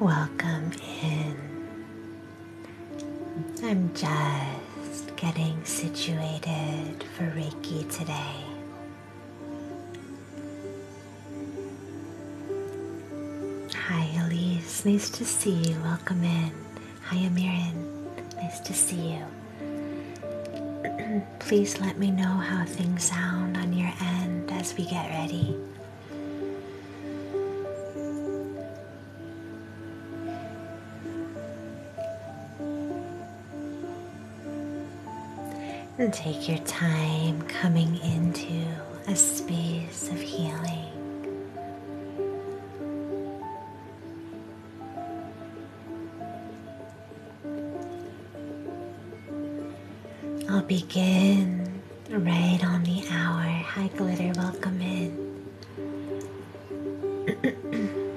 Welcome in. I'm just getting situated for Reiki today. Hi, Elise. Nice to see you. Welcome in. Hi, Amirin. Nice to see you. Please let me know how things sound on your end as we get ready. And take your time coming into a space of healing. I'll begin right on the hour. Hi, Glitter, welcome in.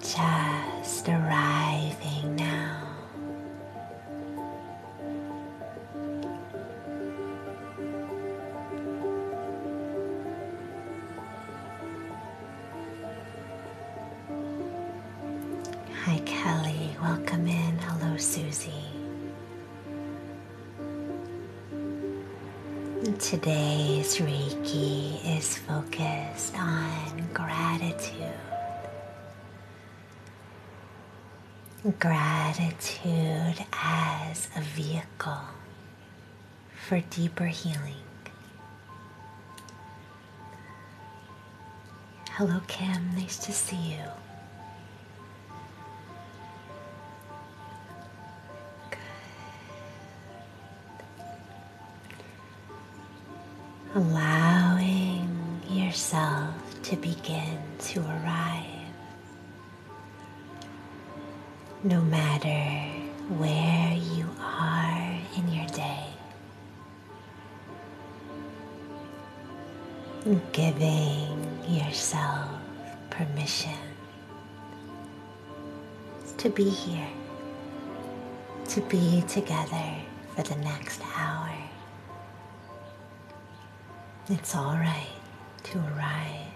Just arriving now. Hi, Kelly. Welcome in. Hello, Susie. Today's Reiki is is focused on gratitude. Gratitude as a vehicle for deeper healing. Hello, Kim. Nice to see you. Good allowing yourself to begin to arrive, no matter where you are in your day. Giving yourself permission to be here, to be together for the next hour. It's all right to arrive.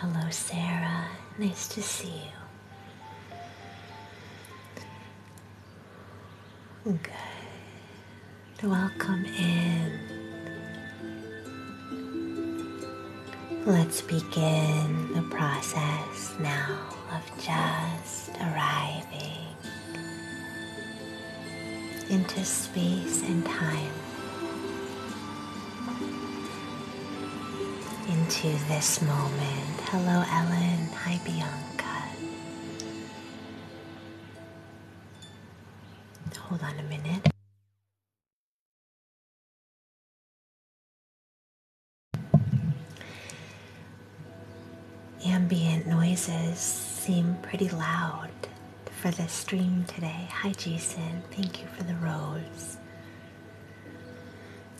Hello, Sarah. Nice to see you. Okay, Welcome in. Let's begin the process now of just arriving into space and time, into this moment. Hello, Ellen. Hi, Bianca. Hold on a minute. Ambient noises seem pretty loud for the stream today. Hi, Jason. Thank you for the rose.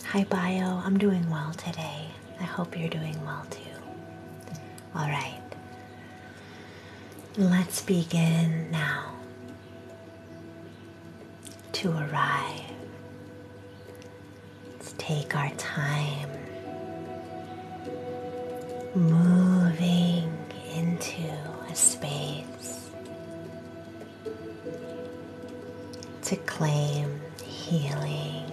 Hi, Bio. I'm doing well today. I hope you're doing well too. All right. Let's begin now to arrive. Let's take our time moving into a space to claim healing,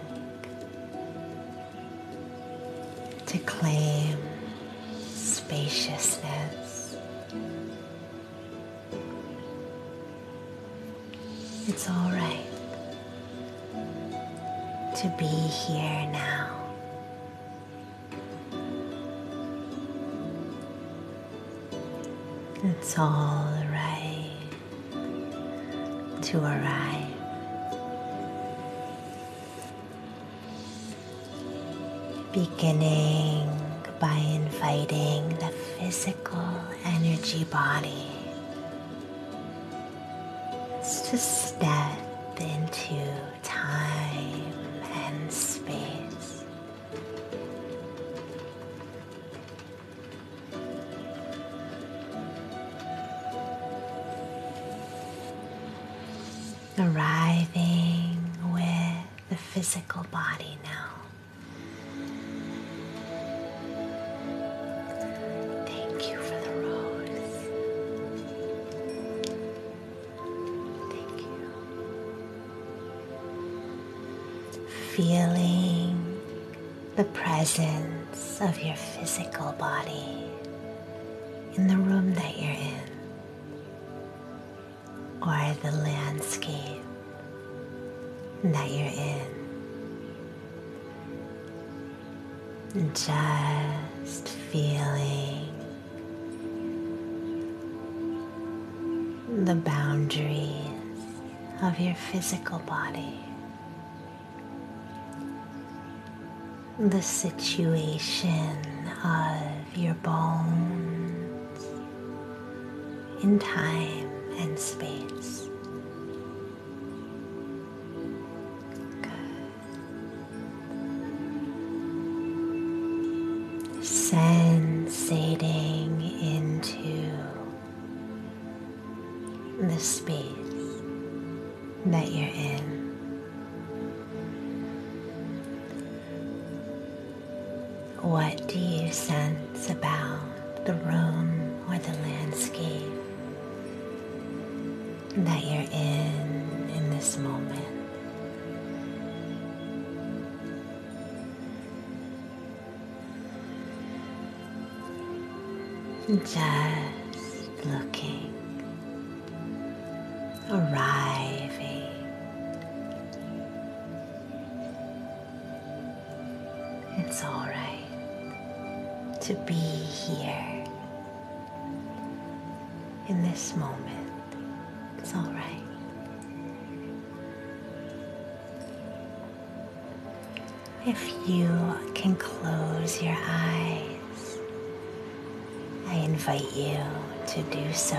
to claim spaciousness it's all right to be here now. It's all right to arrive. Beginning by inviting the physical energy body to step into time and space. Arriving with the physical body now. Thank you for the rose. Thank you. Feeling the presence of your physical body in the room that you're in or the landscape that you're in. Just feeling the boundaries of your physical body, the situation of your bones in time and space. Good. Sensating into the space that you're in. What do you sense about the room or the landscape that you're in in this moment? just looking, arriving, it's all right to be here in this moment. It's all right. If you can close your eyes, I invite you to do so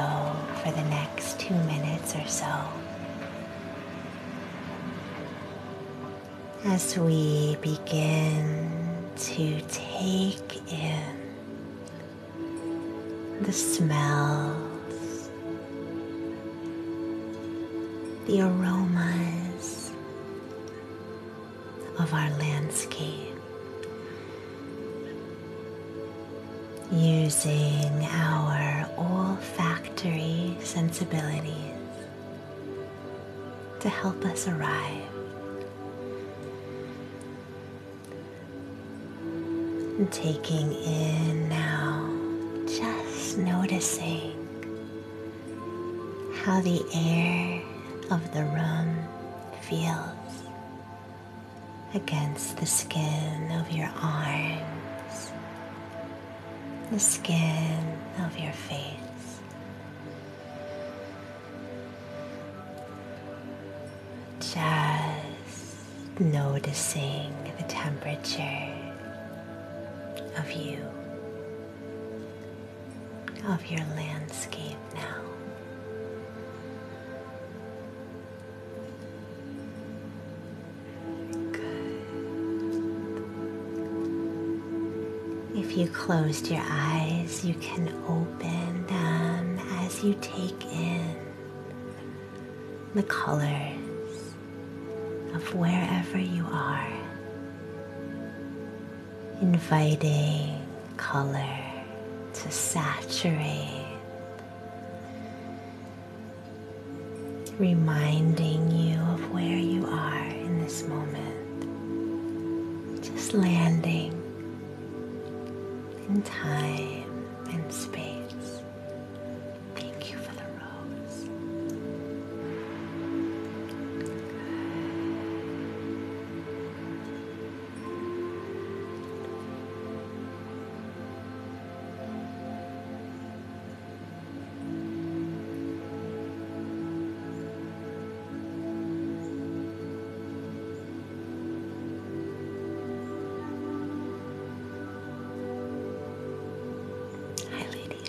for the next two minutes or so. As we begin to take in the smells, the aromas of our landscape using our olfactory sensibilities to help us arrive. And taking in now, just noticing how the air of the room feels against the skin of your arms, the skin of your face. Just noticing the temperature of you, of your landscape now. If you closed your eyes, you can open them as you take in the colors of wherever you are, inviting color to saturate reminding you of where you are in this moment, just landing in time and space. Thank you for the rose. Hi, Lydia.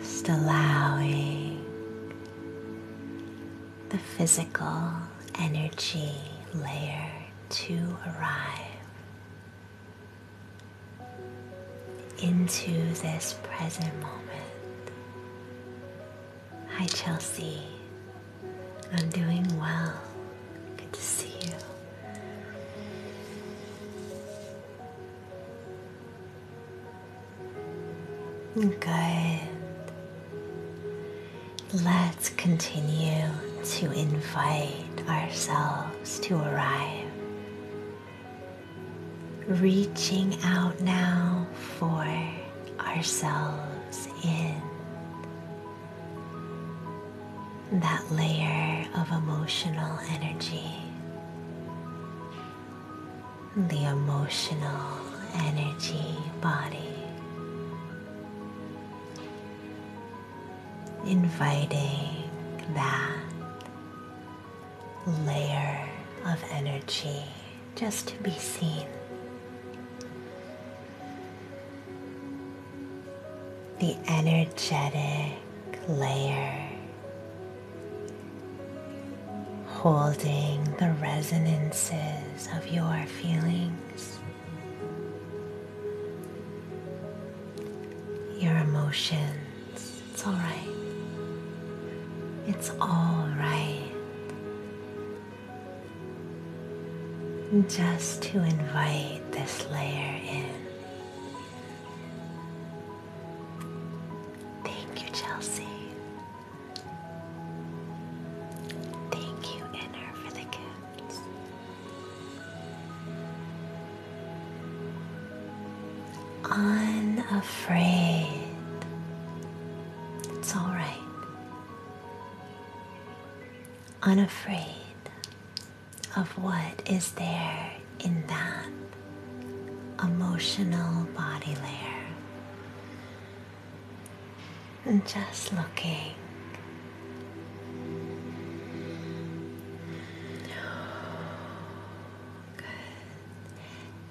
Just allowing the physical energy layer to arrive into this present moment. Hi, Chelsea. I'm doing well. Good to see you. Good. Let's continue to invite ourselves to arrive. Reaching out now for ourselves in that layer of emotional energy the emotional energy body, inviting that layer of energy just to be seen. The energetic layer holding the resonances of your feelings, your emotions. It's all right. It's all right. Just to invite this layer in. Thank you, Chelsea. Thank you, Inner, for the goods. Unafraid. It's all right. Unafraid of what is there in that emotional body layer. And just looking.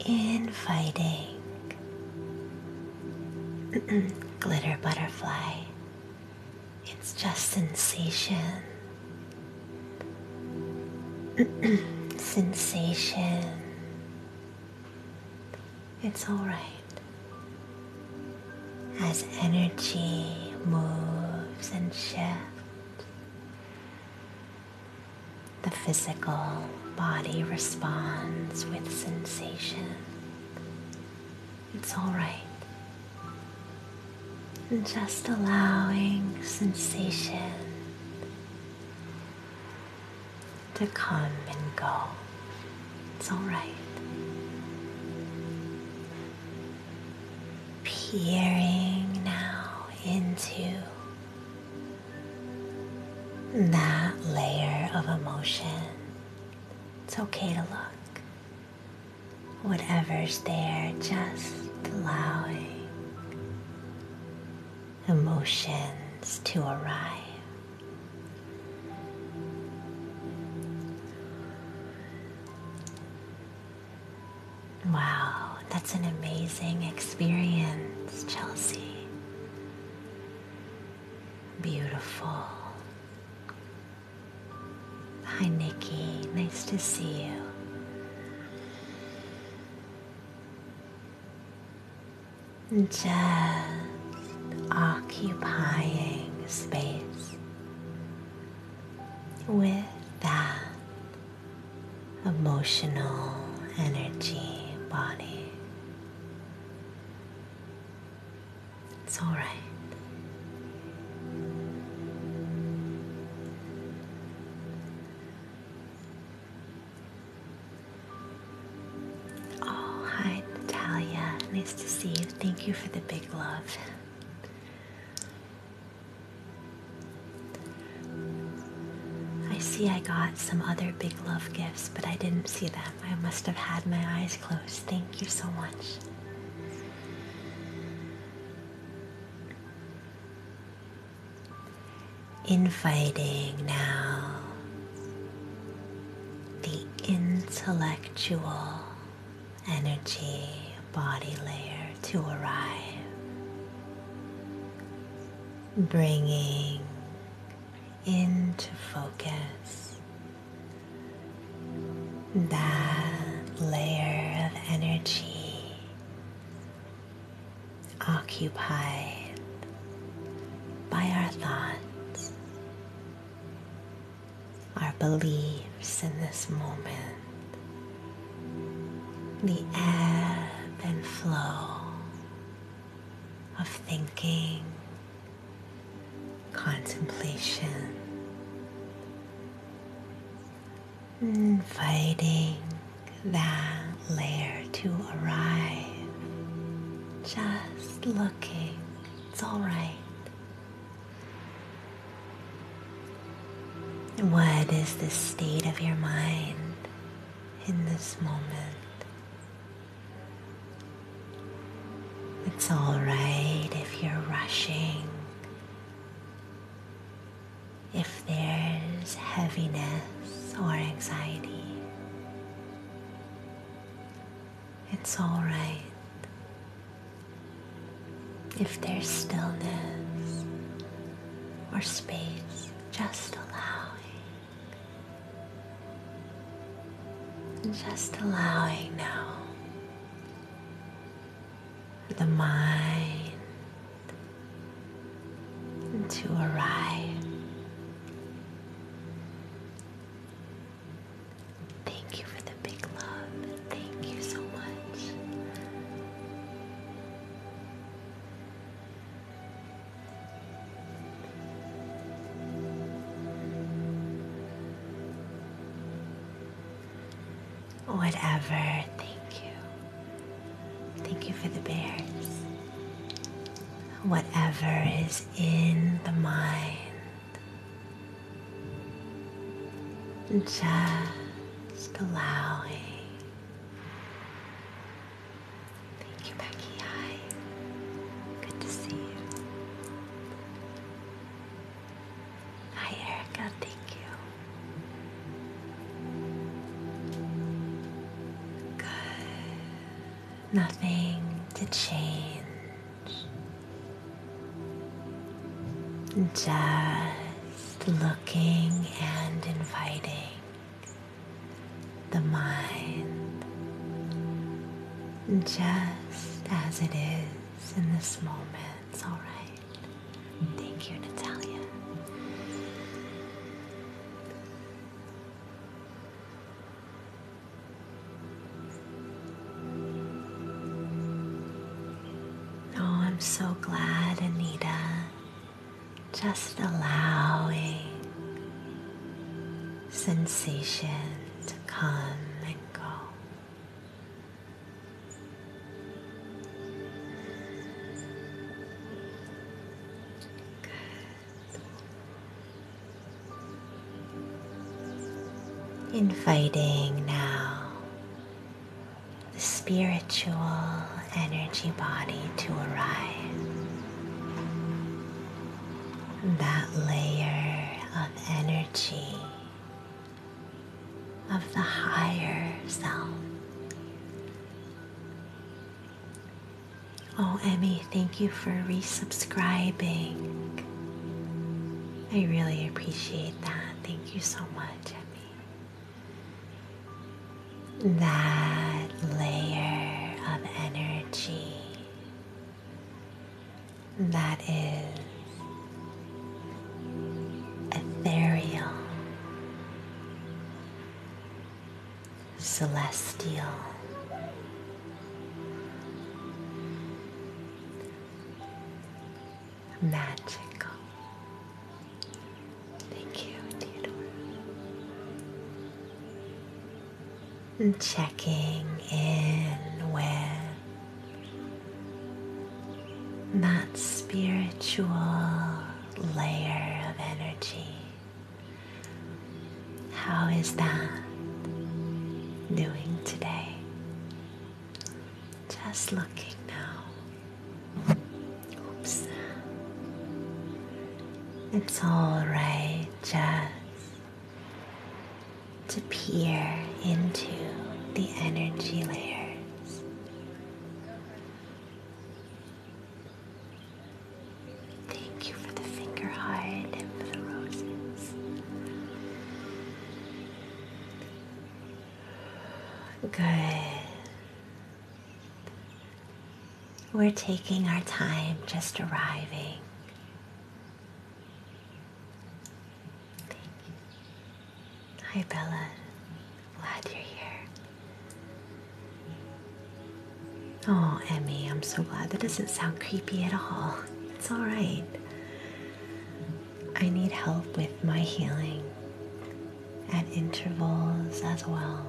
Inviting glitter butterfly. It's just sensation. sensation it's all right. As energy moves and shifts, the physical body responds with sensation. It's all right. just allowing sensation to come and go. It's all right. Peering now into that layer of emotion. It's okay to look. Whatever's there, just allowing emotions to arrive. Wow, that's an amazing experience, Chelsea. Beautiful. Hi, Nikki. Nice to see you. Just occupying space with that emotional energy body. It's all right. Oh, hi, Natalia. Nice to see you. Thank you for the big love. I see I got some other big love gifts, but I didn't see them. I must have had my eyes closed. Thank you so much inviting now the intellectual energy body layer to arrive, bringing into focus that layer of energy occupied by our thoughts, our beliefs in this moment, the ebb and flow of thinking, contemplation, inviting that layer to arrive. Just looking, it's all right. What is the state of your mind in this moment? It's all right if you're rushing if there's heaviness or anxiety. It's all right if there's stillness or space, just allowing. Just allowing now the mind to arrive. Thank you for the big love. Thank you so much. Whatever, thank you. Thank you for the bears. Whatever is in the mind, just allowing. Thank you, Becky. Hi. Good to see you. Hi, Erica. Thank you. Good. Nothing to change. Just looking and inviting the mind just as it is in this moment. It's all right. Thank you, Natalia. Oh, I'm so glad, Anita. Just allowing sensation to come and go. Good. Inviting now the spiritual energy body to arrive. That layer of energy of the higher self Oh, Emmy, thank you for resubscribing. I really appreciate that. Thank you so much, Emmy. That layer of energy that is ethereal celestial. Magical. Thank you, Theodore. And checking in with that spiritual layer of energy how is that doing today? Just looking now. Oops. It's alright just to peer into the energy layers. Thank you for the finger heart and for the roses. Good. We're taking our time just arriving. Hi, Bella. Glad you're here. Oh, Emmy, I'm so glad. That doesn't sound creepy at all. It's alright. I need help with my healing at intervals as well.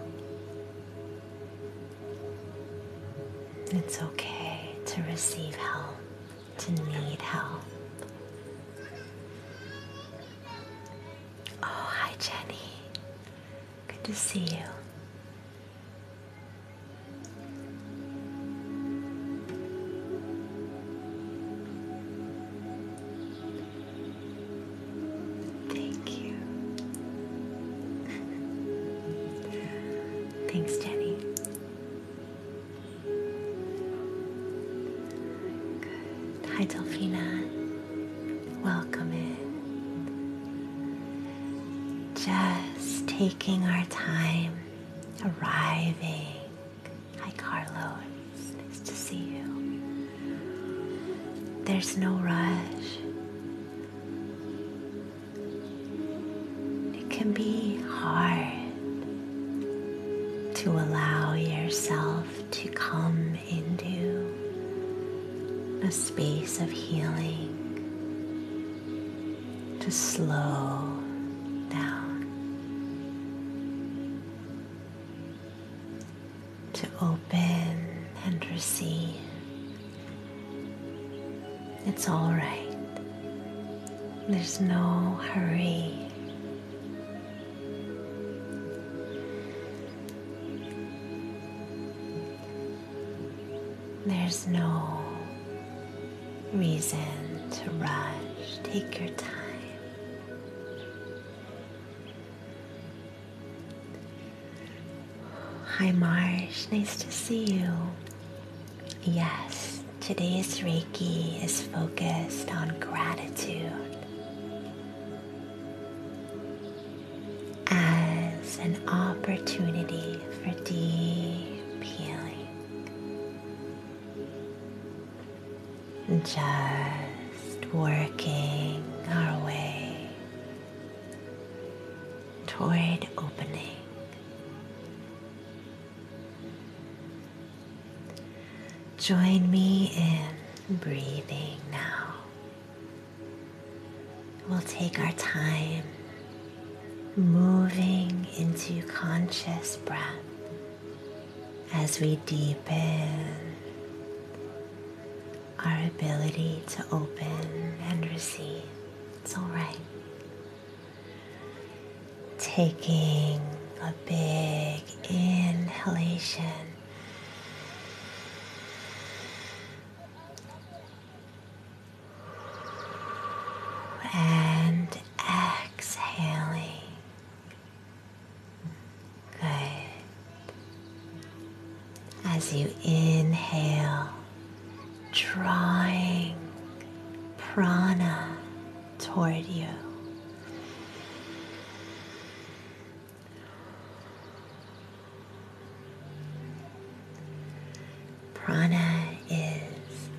It's okay to receive help, to need help. Oh, hi, Jenny. Good to see you. Thank you. Thanks, Jenny. Hi, Delphina. Welcome in. Just taking our time, arriving. Hi, Carlo. nice to see you. There's no rush. It can be hard to allow yourself to come into a space of healing to slow down, to open and receive. It's all right. There's no hurry. There's no reason to rush. Take your time. Hi, Marsh. Nice to see you. Yes, today's Reiki is focused on gratitude as an opportunity for deep healing. Just working our way toward opening. Join me in breathing now We'll take our time moving into conscious breath as we deepen our ability to open and receive. It's all right. Taking a big inhalation and exhaling. Good. As you inhale, drawing prana toward you. Prana is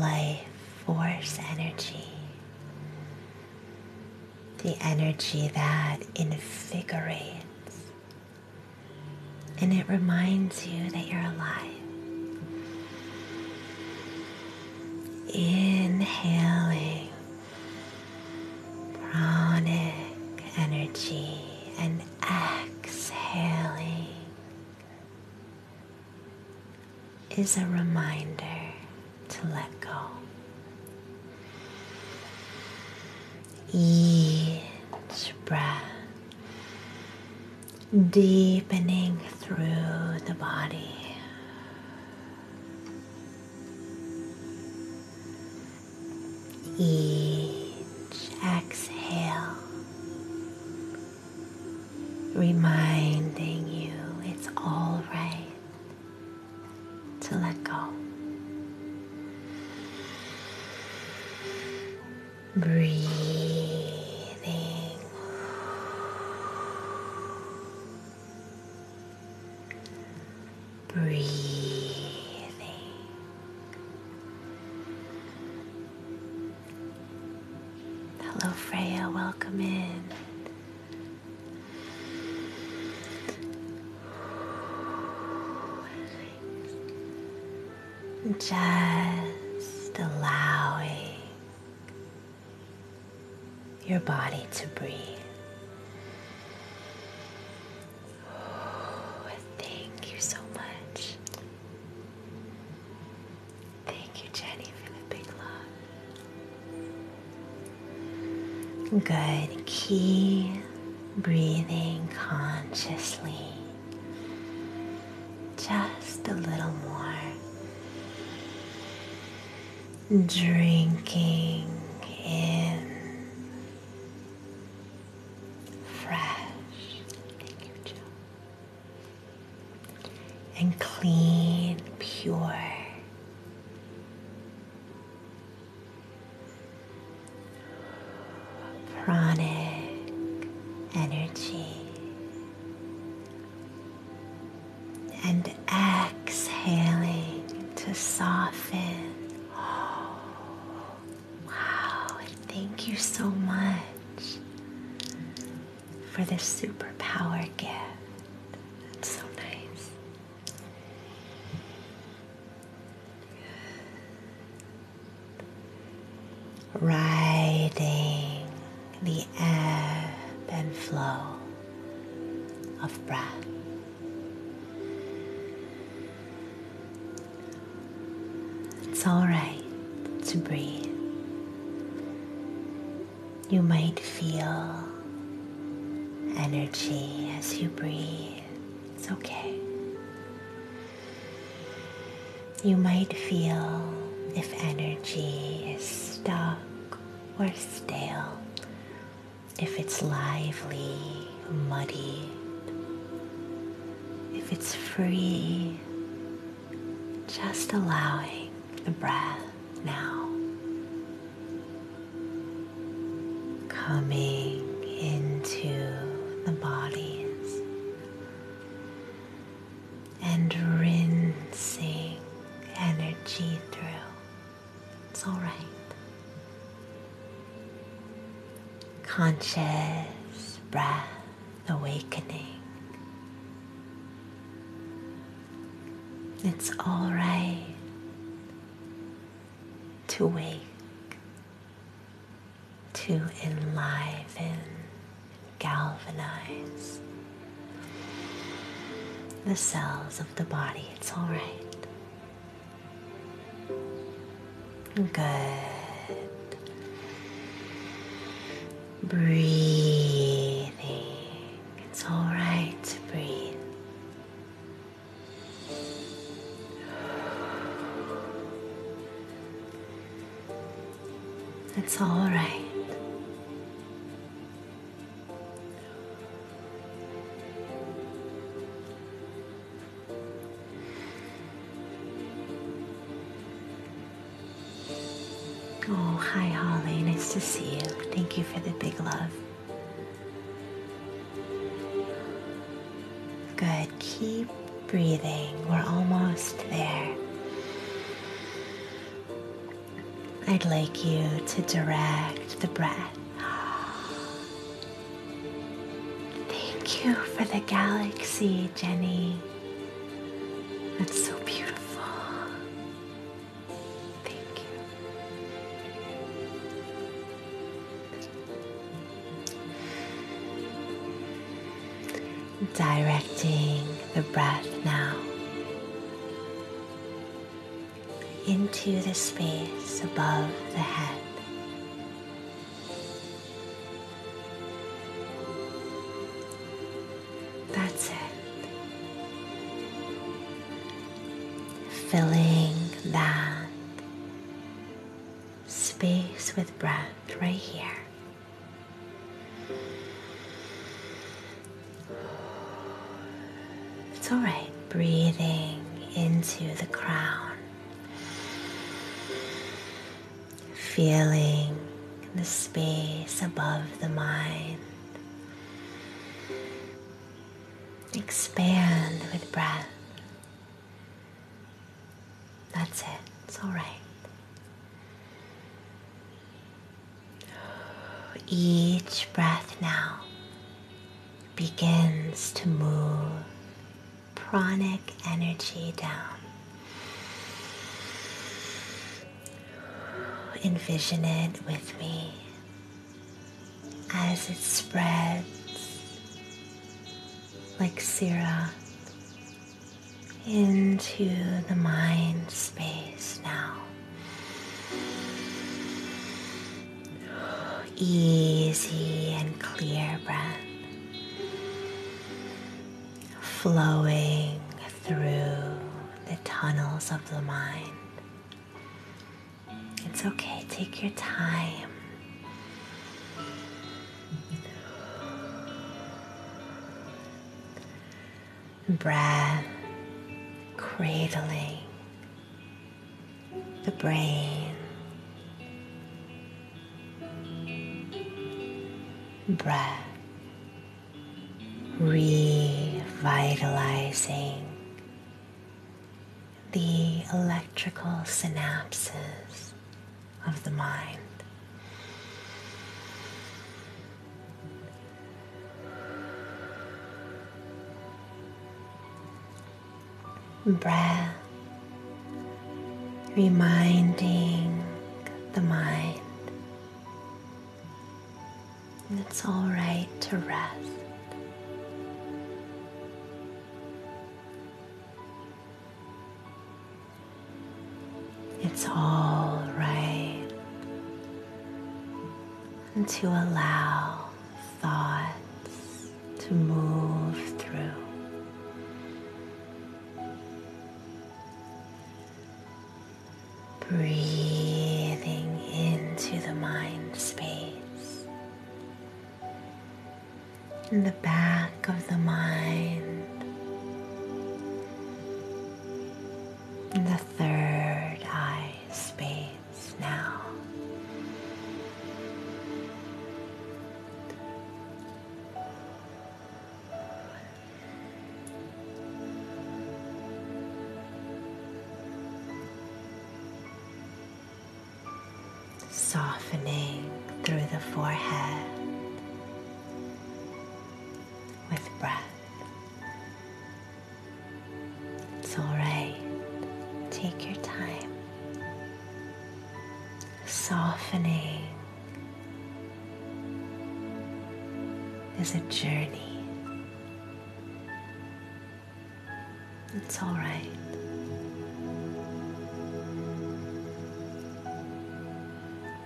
life force energy, the energy that invigorates, and it reminds you that you're alive. Inhaling pranic energy and exhaling is a reminder to let go. Each breath deepening through the body. Each exhale, reminding you it's all right to let go. Breathing breathing. Hello, Freya, welcome in. Just allowing your body to breathe. Oh, thank you so much. Thank you, Jenny, for the big love. Good. Keep breathing consciously. Just a little more. Drinking in fresh. And clean, pure. Pranic energy. And exhaling to soften Wow, oh, thank you so much for this superpower gift. That's so nice. Riding the ebb and flow of breath. It's alright to breathe. You might feel energy as you breathe. It's okay. You might feel if energy is stuck or stale if it's lively, muddy, if it's free, just allowing the breath now. Coming into the bodies and rinsing energy through. It's all right conscious breath awakening. It's all right to wake, to enliven, galvanize the cells of the body. It's all right. Good. Breathing. It's all right to breathe. It's all right. Oh, hi, Holly. Nice to see you. Thank you for the big love. Good. Keep breathing. We're almost there. I'd like you to direct the breath Thank you for the galaxy, Jenny. That's so beautiful. Thank you. Directing the breath now into the space above the head. That's it. Filling that space with breath right here. It's all right breathing into the crown feeling the space above the mind expand with breath. That's it, it's all right. Each breath now begins to move pranic energy down. Envision it with me as it spreads like syrup into the mind space now easy and clear breath flowing through the tunnels of the mind. It's okay, take your time. Breath cradling the brain, breath, revitalizing the electrical synapses of the mind breath, reminding the mind it's all right to rest. It's all right and to allow thoughts to move through. Breathing into the mind space. In the back of the mind. In the third eye space now. Softening through the forehead with breath. It's all right. Take your time softening is a journey. It's all right.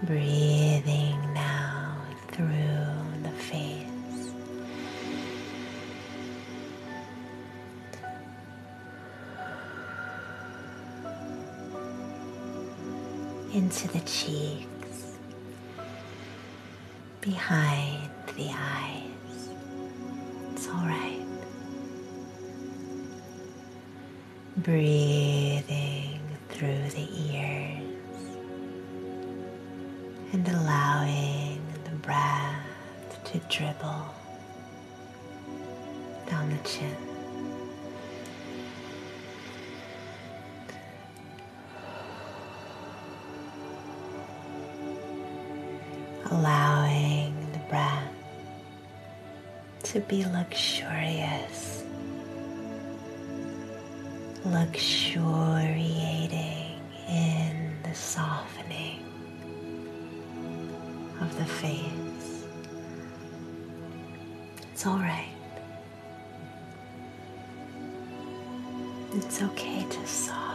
Breathing now through the face into the cheeks, behind the eyes. It's all right. Breathing through the ears and allowing the breath to dribble down the chin. Allowing the breath to be luxurious, luxuriating in the softening of the face. It's all right. It's okay to soften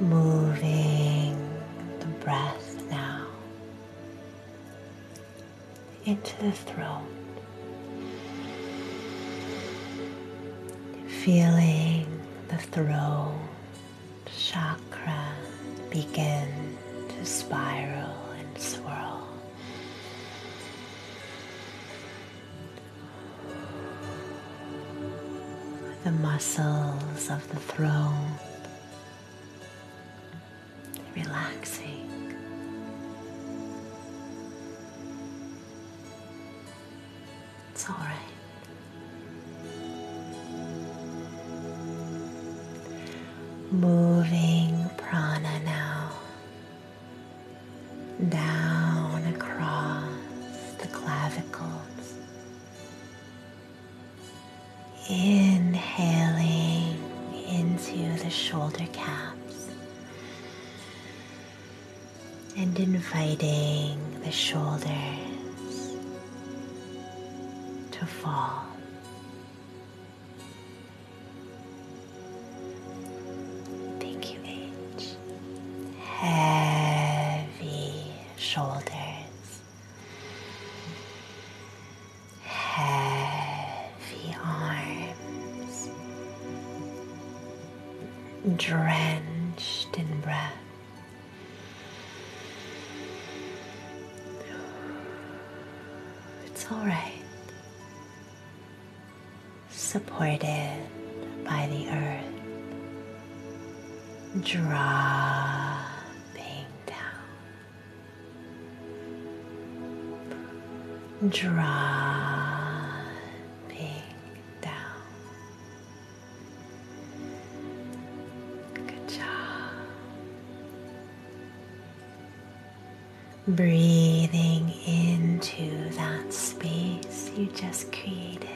moving the breath now into the throat, feeling the throat chakra begin to spiral and swirl. The muscles of the throat relaxing. It's all right. Moving prana now down across the clavicles Inhaling into the shoulder caps and inviting the shoulders to fall. Thank you, H. Heavy shoulders heavy arms, drenched in breath. It's all right, supported by the earth. Drop being dropping down. Good job. Breathing into that space you just created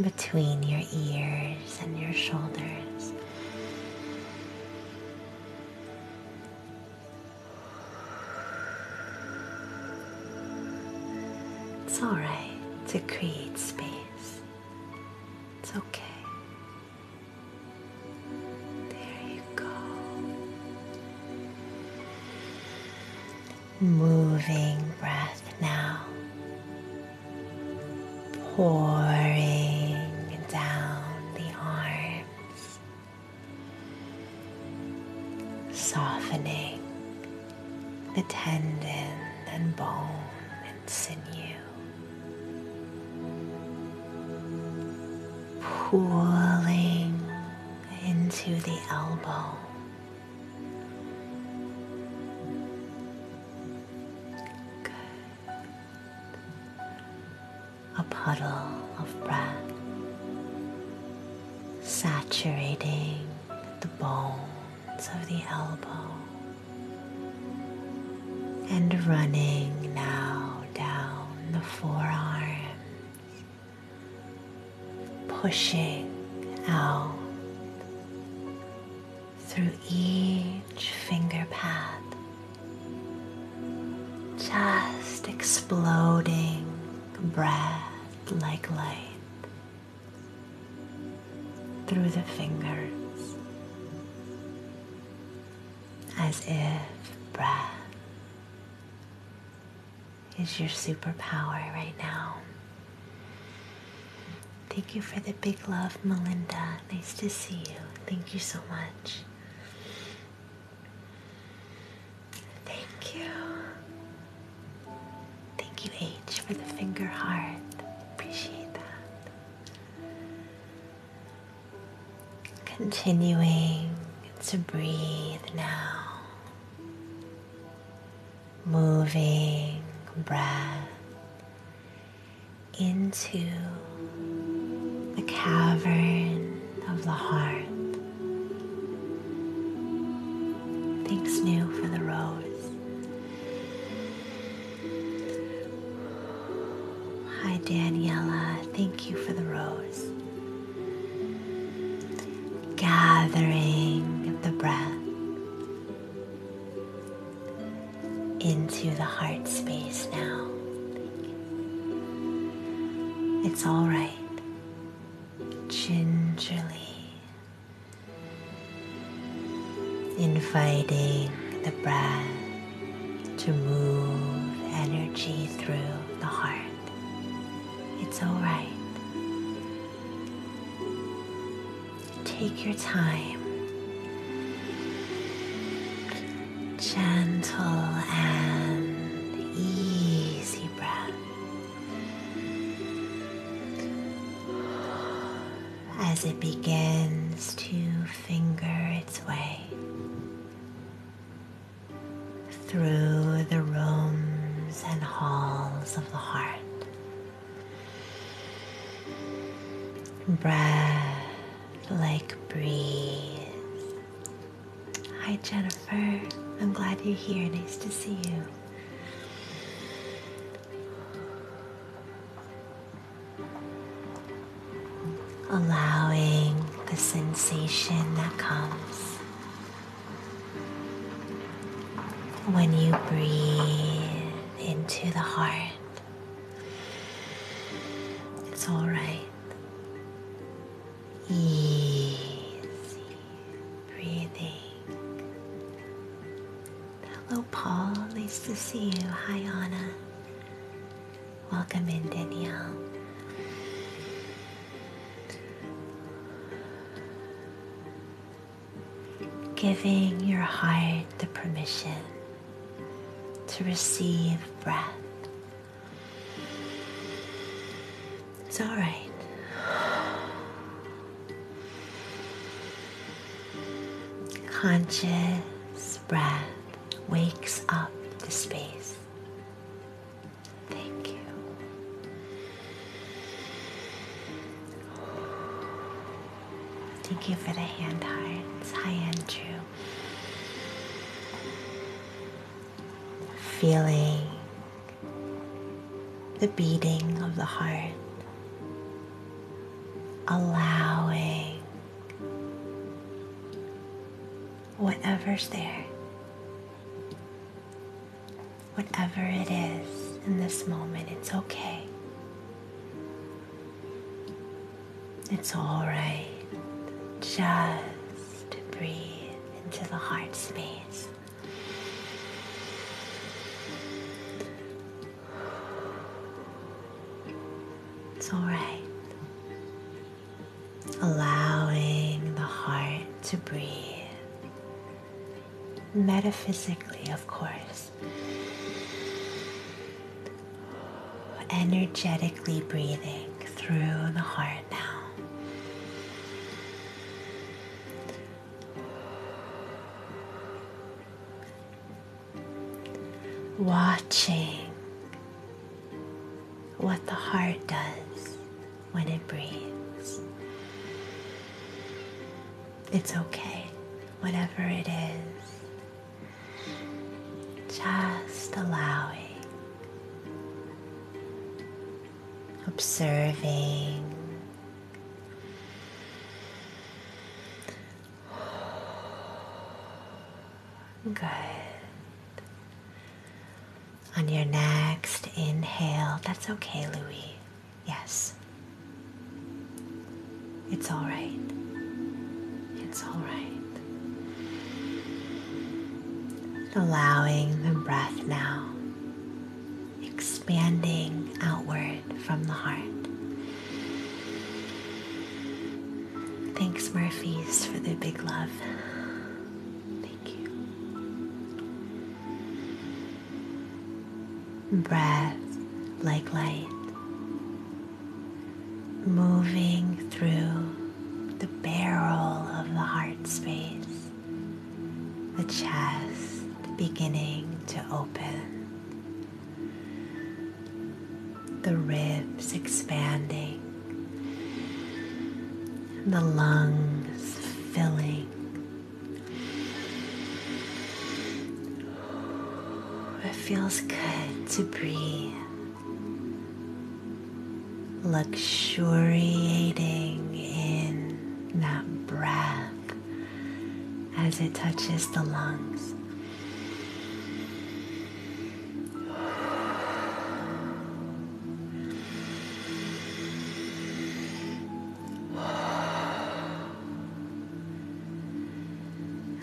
between your ears and your shoulders. It's all right to create space. It's okay. There you go moving breath now, pouring down the arms, softening the tendon and bone and sinew, pooling into the elbow a puddle of breath saturating the bones of the elbow and running now down the forearms, pushing out through each finger path, just exploding breath like light through the fingers, as if breath is your superpower right now. Thank you for the big love, Melinda. Nice to see you. Thank you so much. Thank you. Thank you, H, for the finger heart. Appreciate that. Continuing to breathe now moving breath into the cavern of the heart. Things new for the rose. Hi, Daniela. Thank you for the rose. Gathering the breath into the heart space now. It's all right. Gingerly inviting the breath to move energy through the heart. It's all right. Take your time. Gentle and easy breath. As it begins to finger its way through the rooms and halls of the heart Breath like breeze. Hi, Jennifer. I'm glad you're here. Nice to see you. allowing the sensation that comes when you breathe into the heart. It's all right. Easy breathing. Hello, Paul. Nice to see you. Hi, Anna. Welcome in, Danielle giving your heart the permission to receive breath. It's all right. Conscious breath wakes up the space. Thank you. Thank you for the hand hearts. Hi, Andrew. Feeling the beating of the heart, allowing whatever's there whatever it is in this moment, it's okay. It's all right. Just breathe into the heart space. It's all right. Allowing the heart to breathe metaphysically, of course. Energetically breathing through the heart now. Watching what the heart does when it breathes. It's okay, whatever it is. Just allowing, observing. Good. On your next inhale, that's okay, Louis. Yes. It's all right. It's all right. Allowing the breath now, expanding outward from the heart. Thanks, Murphy's, for the big love. Thank you breath like light, moving through the barrel of the heart space, the chest beginning to open, the ribs expanding, the lungs filling it feels good to breathe, luxuriating in that breath as it touches the lungs.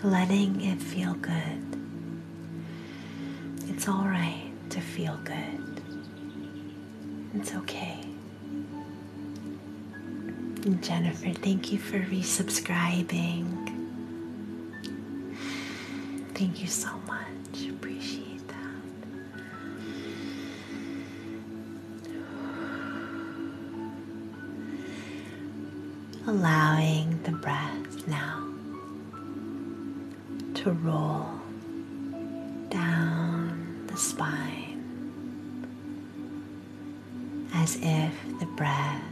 Letting it feel good. It's all right to feel good. It's okay. Jennifer, thank you for resubscribing. Thank you so much. Appreciate that allowing the breath now to roll down the spine as if the breath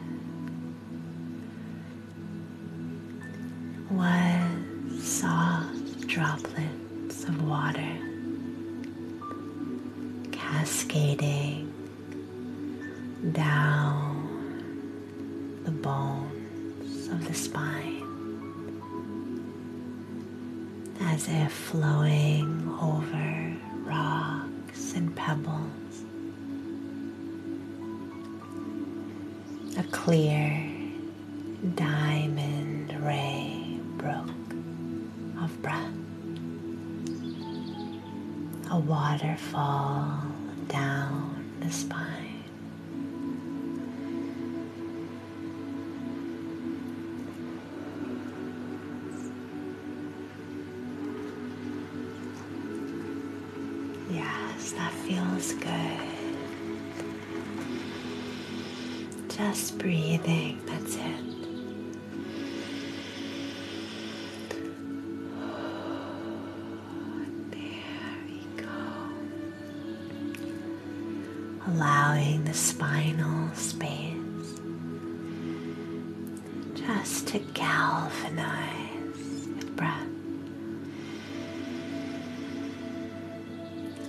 was soft droplets of water cascading down the bones of the spine as if flowing over rocks and pebbles. A clear diamond ray brook of breath a waterfall down the spine. Yes, that feels good. Just breathing, that's it. There we go. Allowing the spinal space just to galvanize with breath.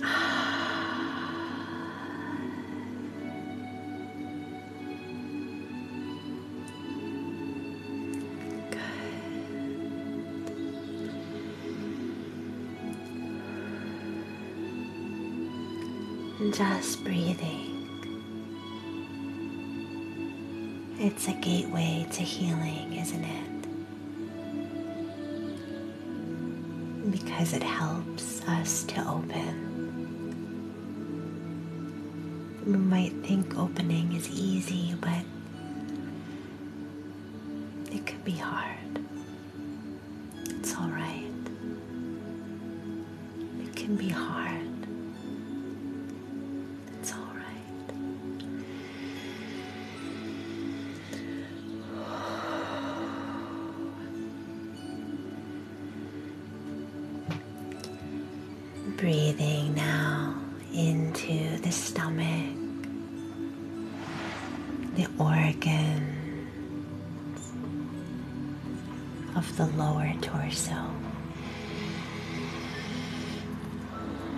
Ah. Good. Just breathing. It's a gateway to healing, isn't it? Because it helps us to open. We might think opening is easy, but it could be hard. It's all right. It can be hard. It's all right. Breathing now into the stomach, the organs of the lower torso,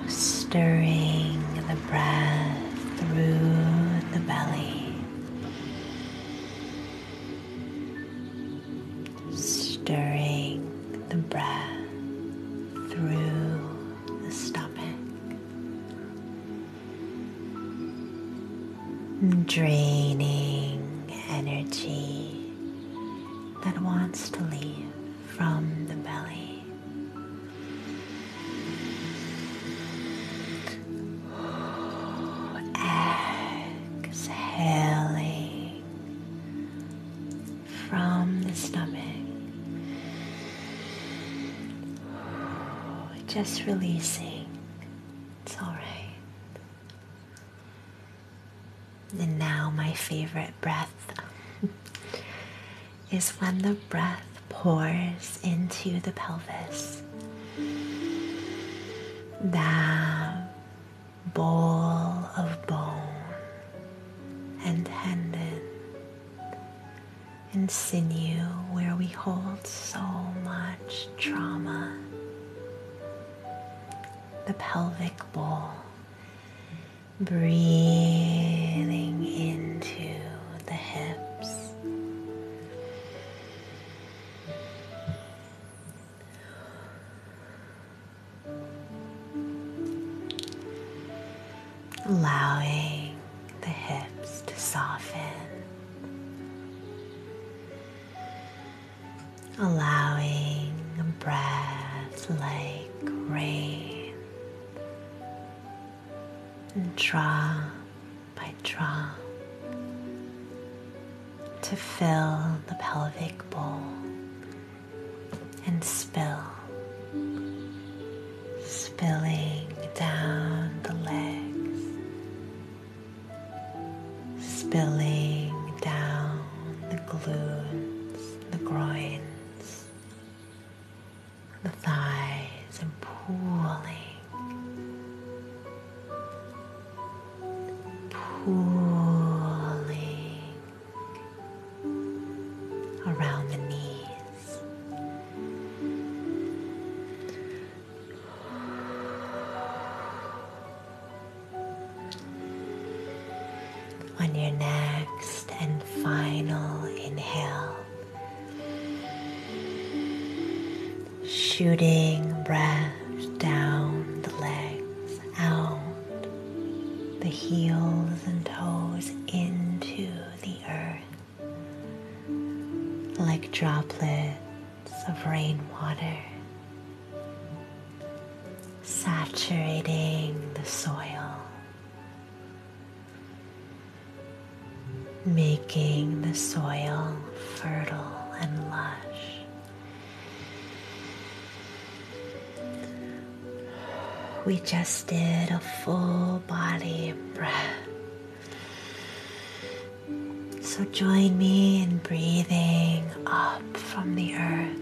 stirring the breath through the belly stirring the breath through the stomach. Draining energy that wants to leave from the belly. Exhaling from the stomach. Just releasing. It's all right. And now, my favorite breath is when the breath pours into the pelvis that ball of bone and tendon and sinew where we hold so much trauma. The pelvic bowl, breathing into the hips allowing the hips to soften, allowing breath like rain and draw by draw to fill the pelvic bowl and spill, spilling down the legs, spilling down the glutes, the groins, the thighs, and pooling pooling around the knees. On your next and final inhale, shooting breath down the legs, out the heels and toes into the earth like droplets of rainwater saturating the soil, making the soil fertile and lush. We just did a full body breath. So join me in breathing up from the earth,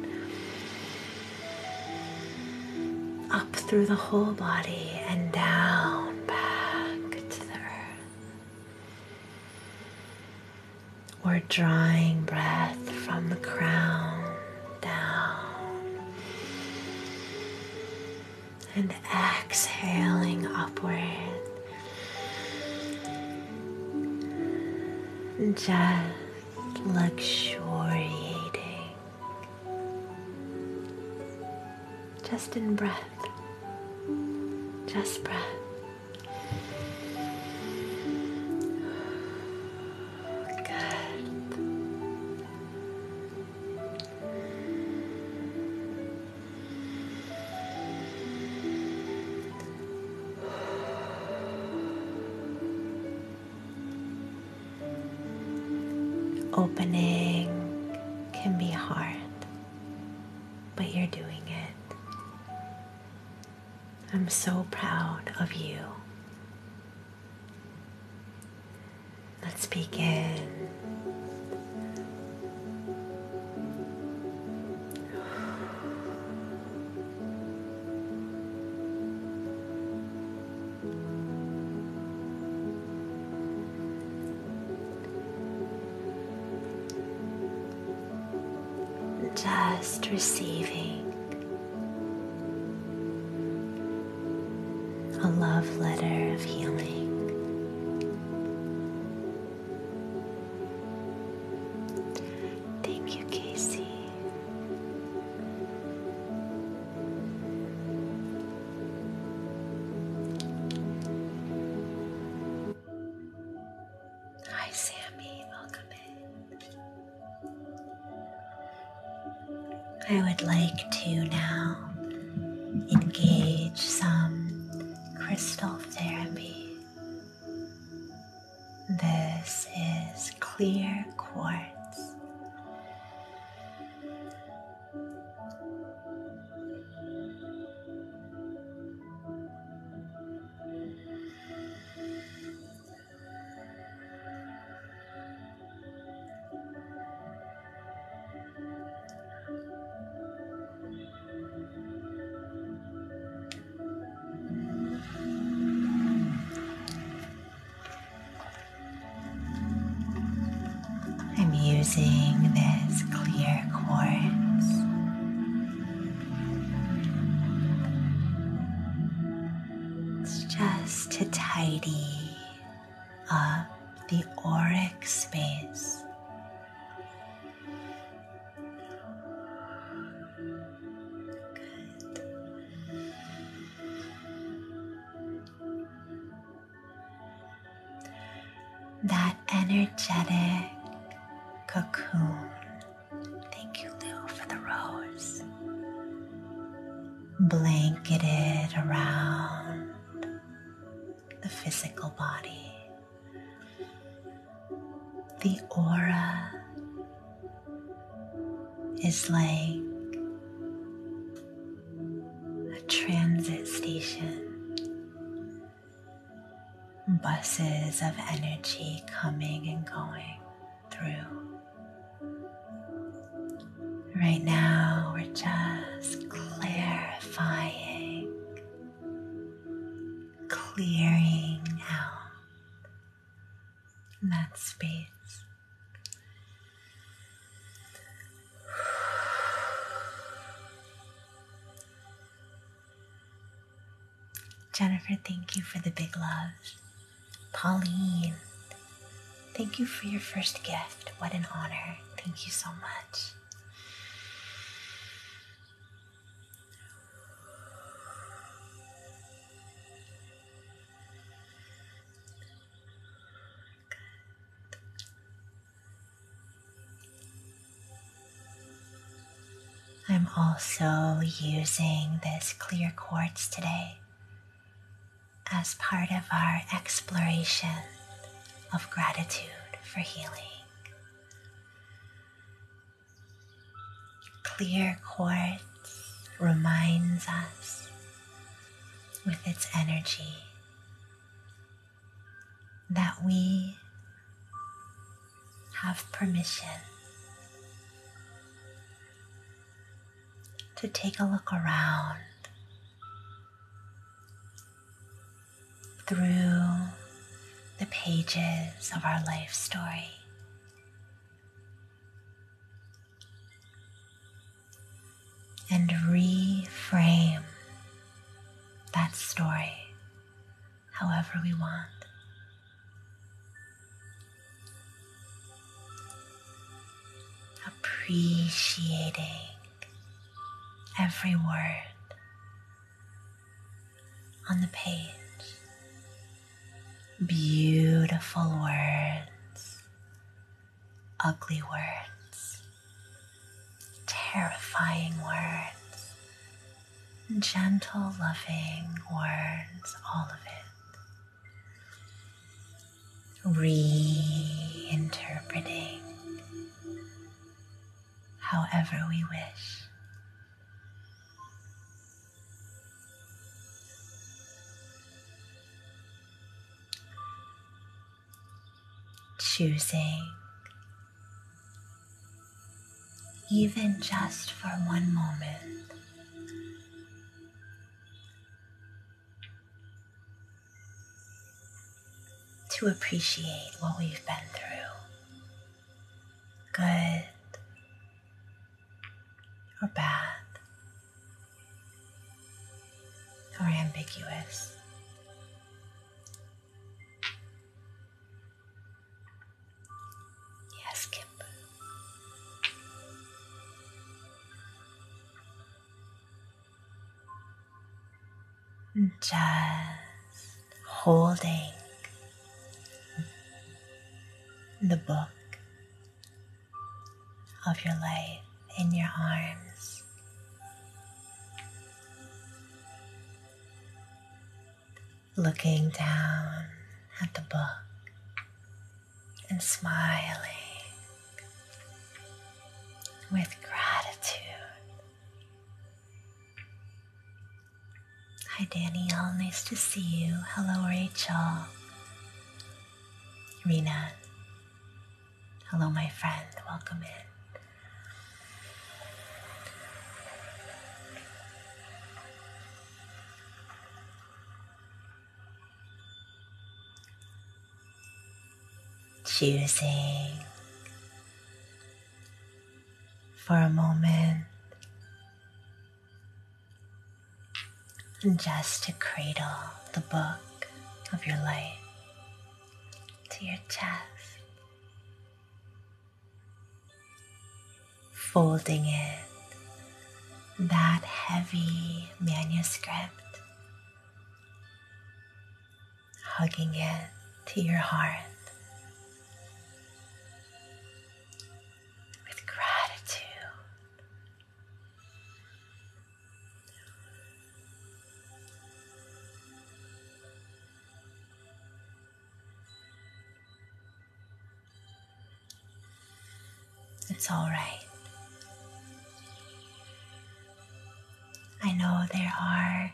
up through the whole body and down back to the earth. We're drawing breath from the crown down and exhaling upward. Just luxuriating, just in breath, just breath opening can be hard, but you're doing it. I'm so proud of you. Let's begin just receiving a love letter of healing. Thank you, Casey. Hi, Sammy. Welcome in. I would like to now engage some crystal therapy. This is clear quartz. I'm using this clear quartz it's just to tidy up the auric space. Good that energetic cocoon. Thank you, Lou, for the rose. Blanketed around the physical body, the aura is like a transit station buses of energy coming and going through. Right now, we're just clarifying, clearing out that space. Jennifer, thank you for the big love. Pauline, thank you for your first gift. What an honor. Thank you so much. I'm also using this clear quartz today as part of our exploration of gratitude for healing. Clear quartz reminds us with its energy that we have permission to take a look around through the pages of our life story. And reframe that story however we want. Appreciating every word on the page. Beautiful words, ugly words, terrifying words, gentle, loving words, all of it. Reinterpreting however we wish. Choosing even just for one moment. To appreciate what we've been through, good or bad or ambiguous. Yes, Kimber. Just holding the book of your life in your arms looking down at the book and smiling with gratitude. Hi, Danielle. Nice to see you. Hello, Rachel. Rena. Hello, my friend. Welcome in. Choosing for a moment and just to cradle the book of your life to your chest folding it, that heavy manuscript, hugging it to your heart. with gratitude. It's all right. I know there are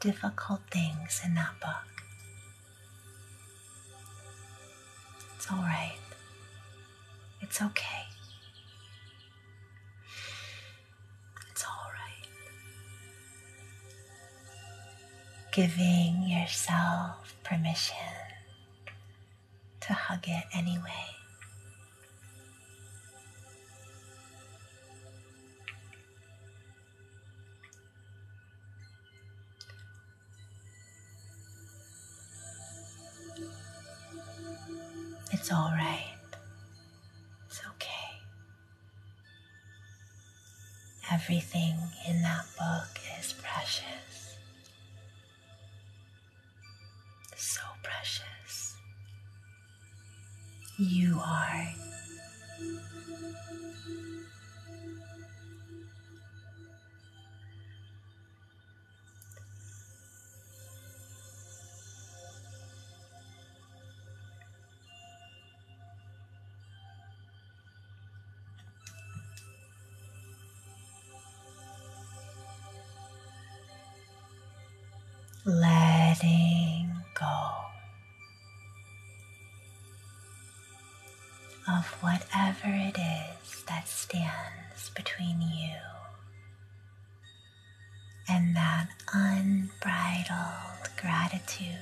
difficult things in that book. It's all right. It's okay. It's all right giving yourself permission to hug it anyway. It's all right. It's okay. Everything in that book is precious. So precious. You are letting go of whatever it is that stands between you and that unbridled gratitude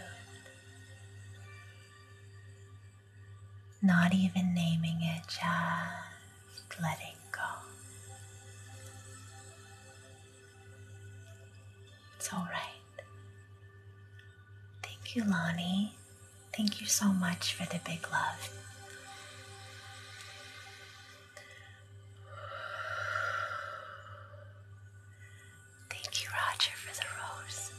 not even naming it, just letting go. It's all right. Thank you, Lonnie. Thank you so much for the big love. Thank you, Roger, for the rose.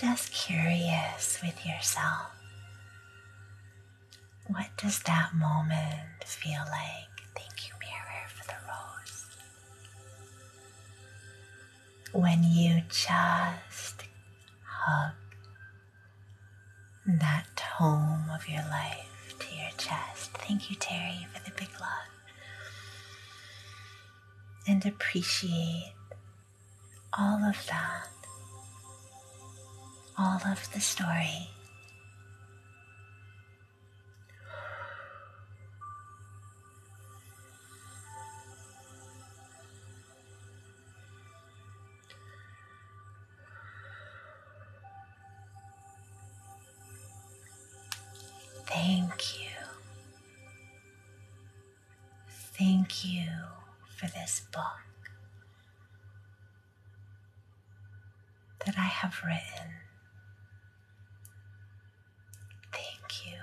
Just curious with yourself. What does that moment feel like? Thank you, Mirror, for the rose. When you just hug that home of your life to your chest. Thank you, Terry, for the big love. And appreciate all of that, all of the story. Thank you. Thank you for this book that I have written. Thank you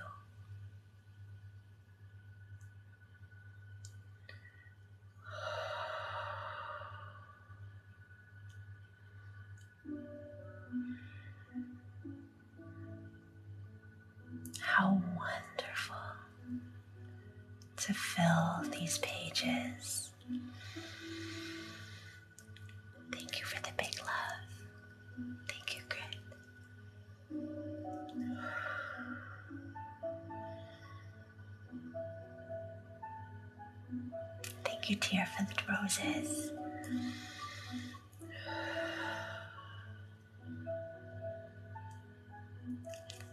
how wonderful to fill these pages. Thank you for the big love. Thank you, Grit. Thank you, dear, for the roses.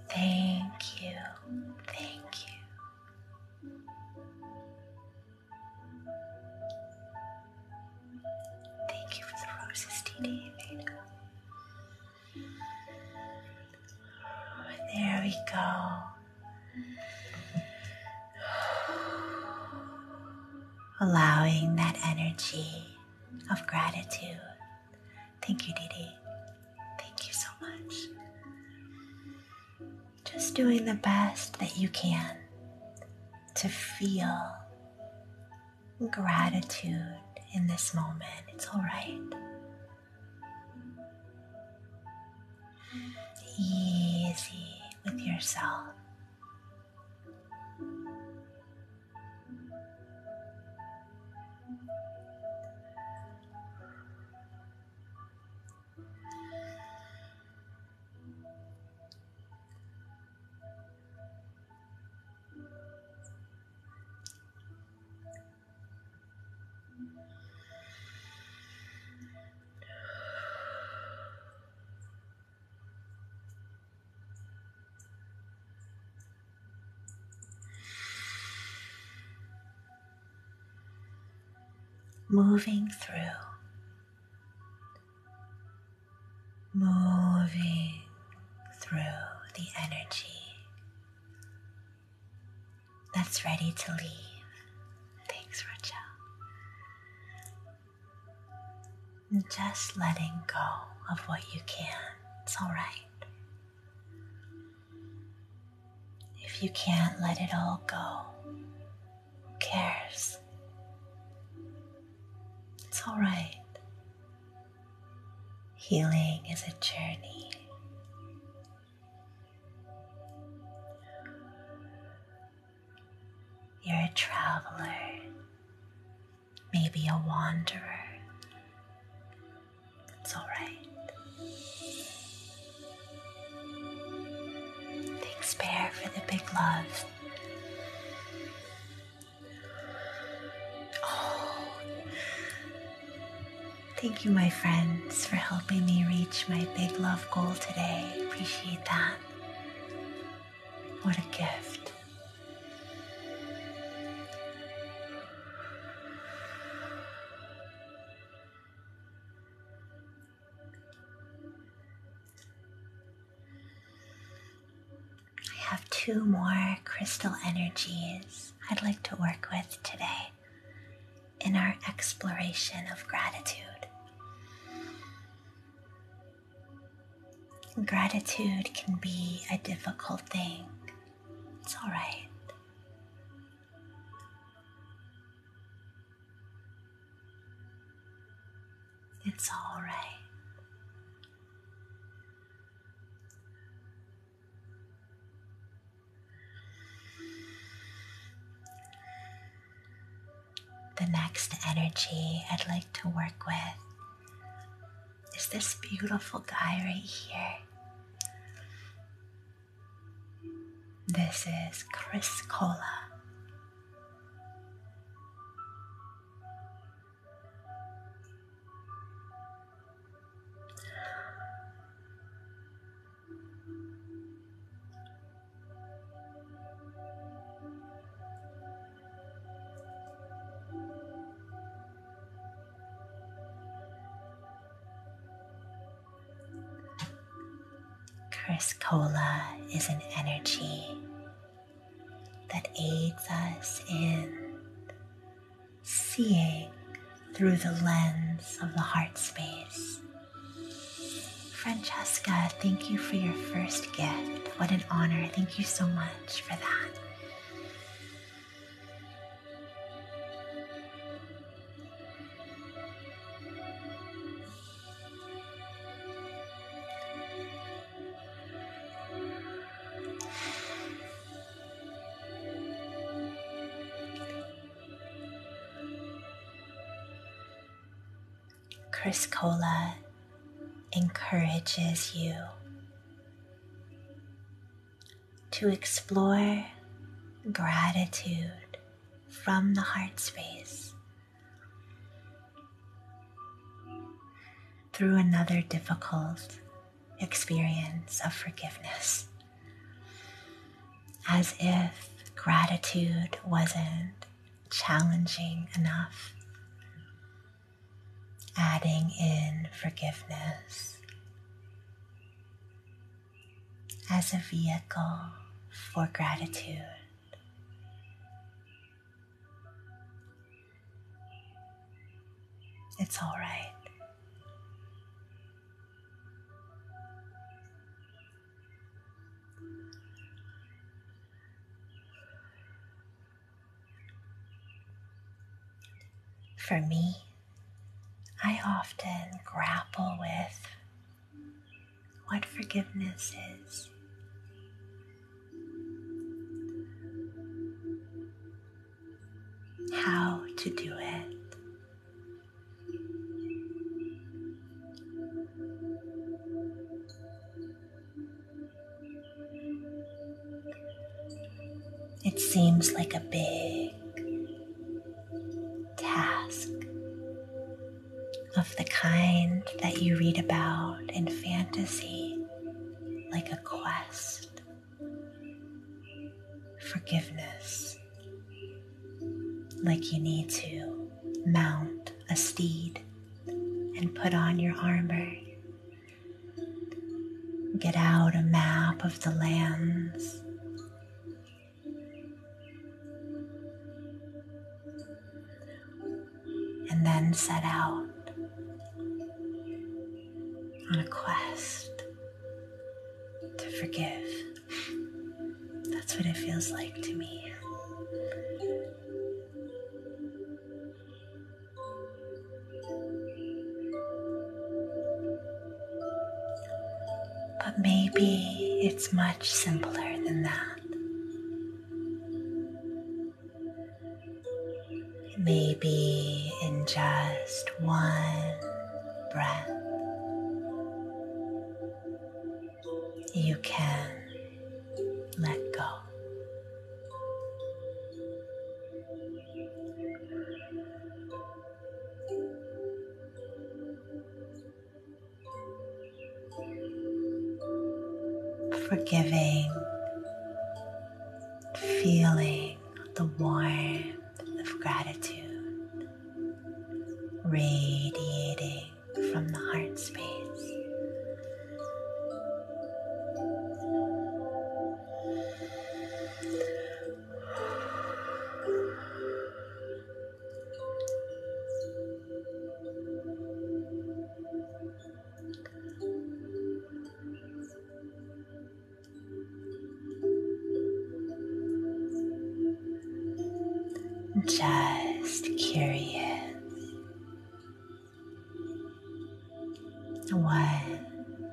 Thank you. Thank you. Thank you for the roses, Dee Dee there we go. Allowing that energy of gratitude. Thank you, Didi. Thank you so much. Just doing the best that you can to feel gratitude in this moment. It's all right. Easy with yourself moving through, moving through the energy that's ready to leave. Thanks, Rachel. Just letting go of what you can. It's all right. If you can't let it all go, who cares? It's all right. Healing is a journey. You're a traveler, maybe a wanderer. It's all right. Take spare for the big love Oh, thank you, my friends, for helping me reach my big love goal today. Appreciate that. What a gift. I have two more crystal energies I'd like to work with today in our exploration of gratitude. Gratitude can be a difficult thing, it's alright. It's all right. The next energy I'd like to work with is this beautiful guy right here. This is Chris Cola. Cola is an energy that aids us in seeing through the lens of the heart space. Francesca, thank you for your first gift. What an honor. Thank you so much for that. Chris Criscola encourages you to explore gratitude from the heart space through another difficult experience of forgiveness. As if gratitude wasn't challenging enough. Adding in forgiveness as a vehicle for gratitude. It's all right. For me, I often grapple with what forgiveness is how to do it. It seems like a big task of the kind that you read about in fantasy, like a quest forgiveness, like you need to mount a steed and put on your armor. Get out a map of the lands. And then set out on a quest to forgive. That's what it feels like to me. But maybe it's much simpler than that maybe in just one breath, you can let go. Forgiving, feeling the warmth of gratitude radiating from the heart space. Just curious. What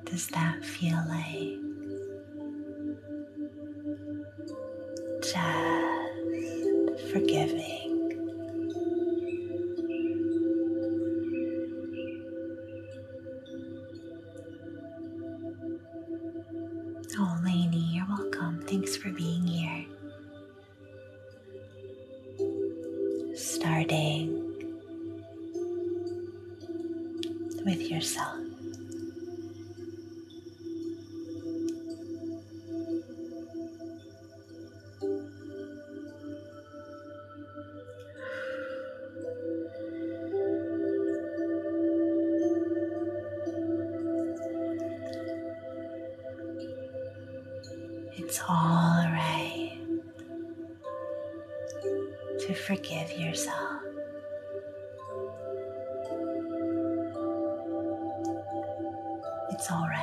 does that feel like? Just forgiving. Oh, Lainey, you're welcome. Thanks for being here. Starting with yourself. It's all right to forgive yourself. It's all right.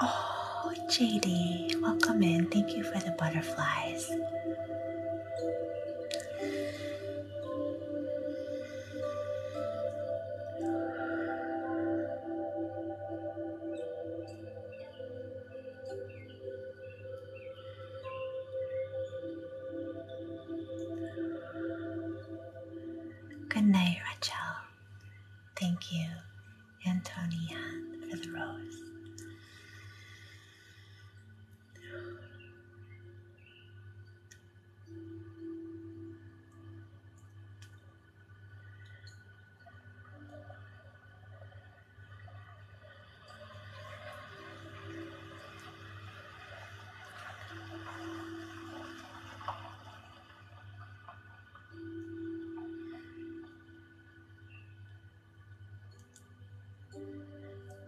Oh, JD, welcome in. Thank you for the butterflies. Good night, Rachel. Thank you, Antonia, for the rose.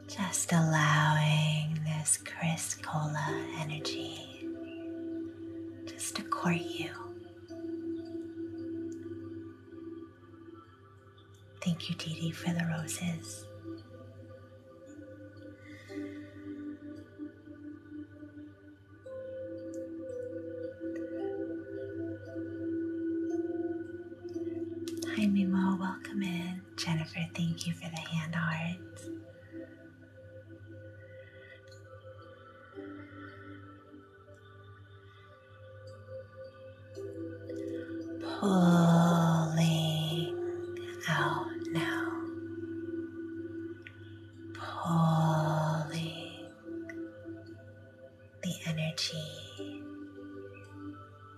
Just allowing this Chris Cola energy just to court you. Thank you, Dee for the roses. Hi, Mimo. Welcome in. Jennifer, thank you for the hand art pulling out now, pulling the energy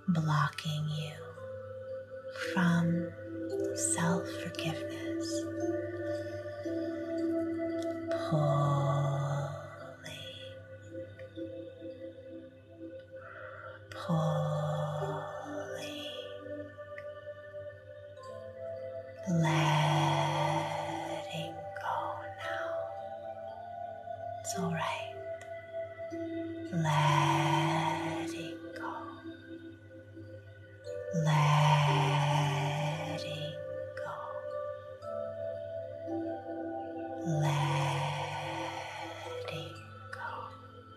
blocking you from self forgiveness. Pulling pulling, letting go now. It's all right. Letting go. Letting go. Letting go.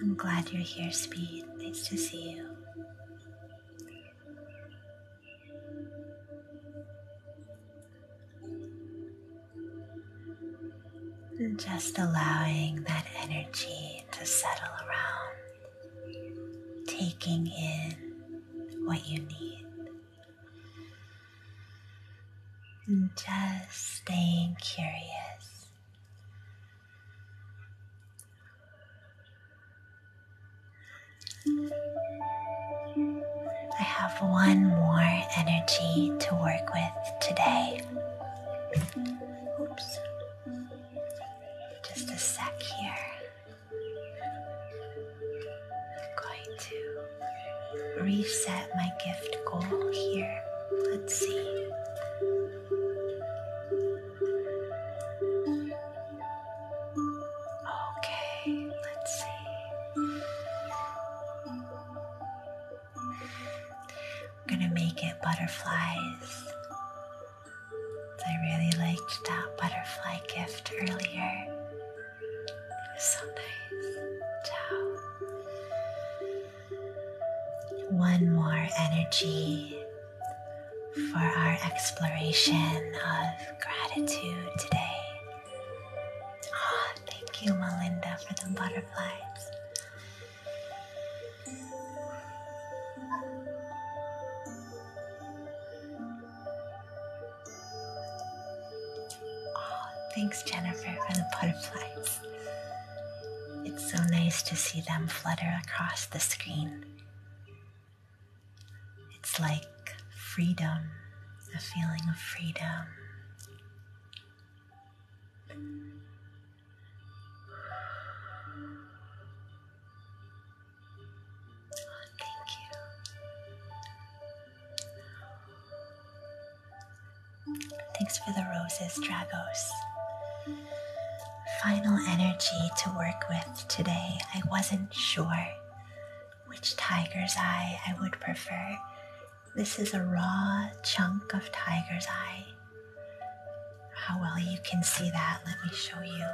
I'm glad you're here, Speed. Nice to see you. And just allowing that energy to settle around, taking in what you need just staying curious. I have one more energy to work with today. Oops. Just a sec here. I'm going to reset my gift goal here. Let's see. Okay, let's see. I'm gonna make it butterflies. I really liked that butterfly gift earlier. Sundays. Ciao. One more energy for our exploration of gratitude today. Ah, thank you, Melinda, for the butterflies. Oh, thanks, Jennifer, for the butterflies. It's so nice to see them flutter across the screen. It's like freedom, a feeling of freedom. Oh, thank you. Thanks for the roses, Dragos. Final energy to work with today. I wasn't sure which tiger's eye I would prefer. This is a raw chunk of tiger's eye. How well you can see that, let me show you.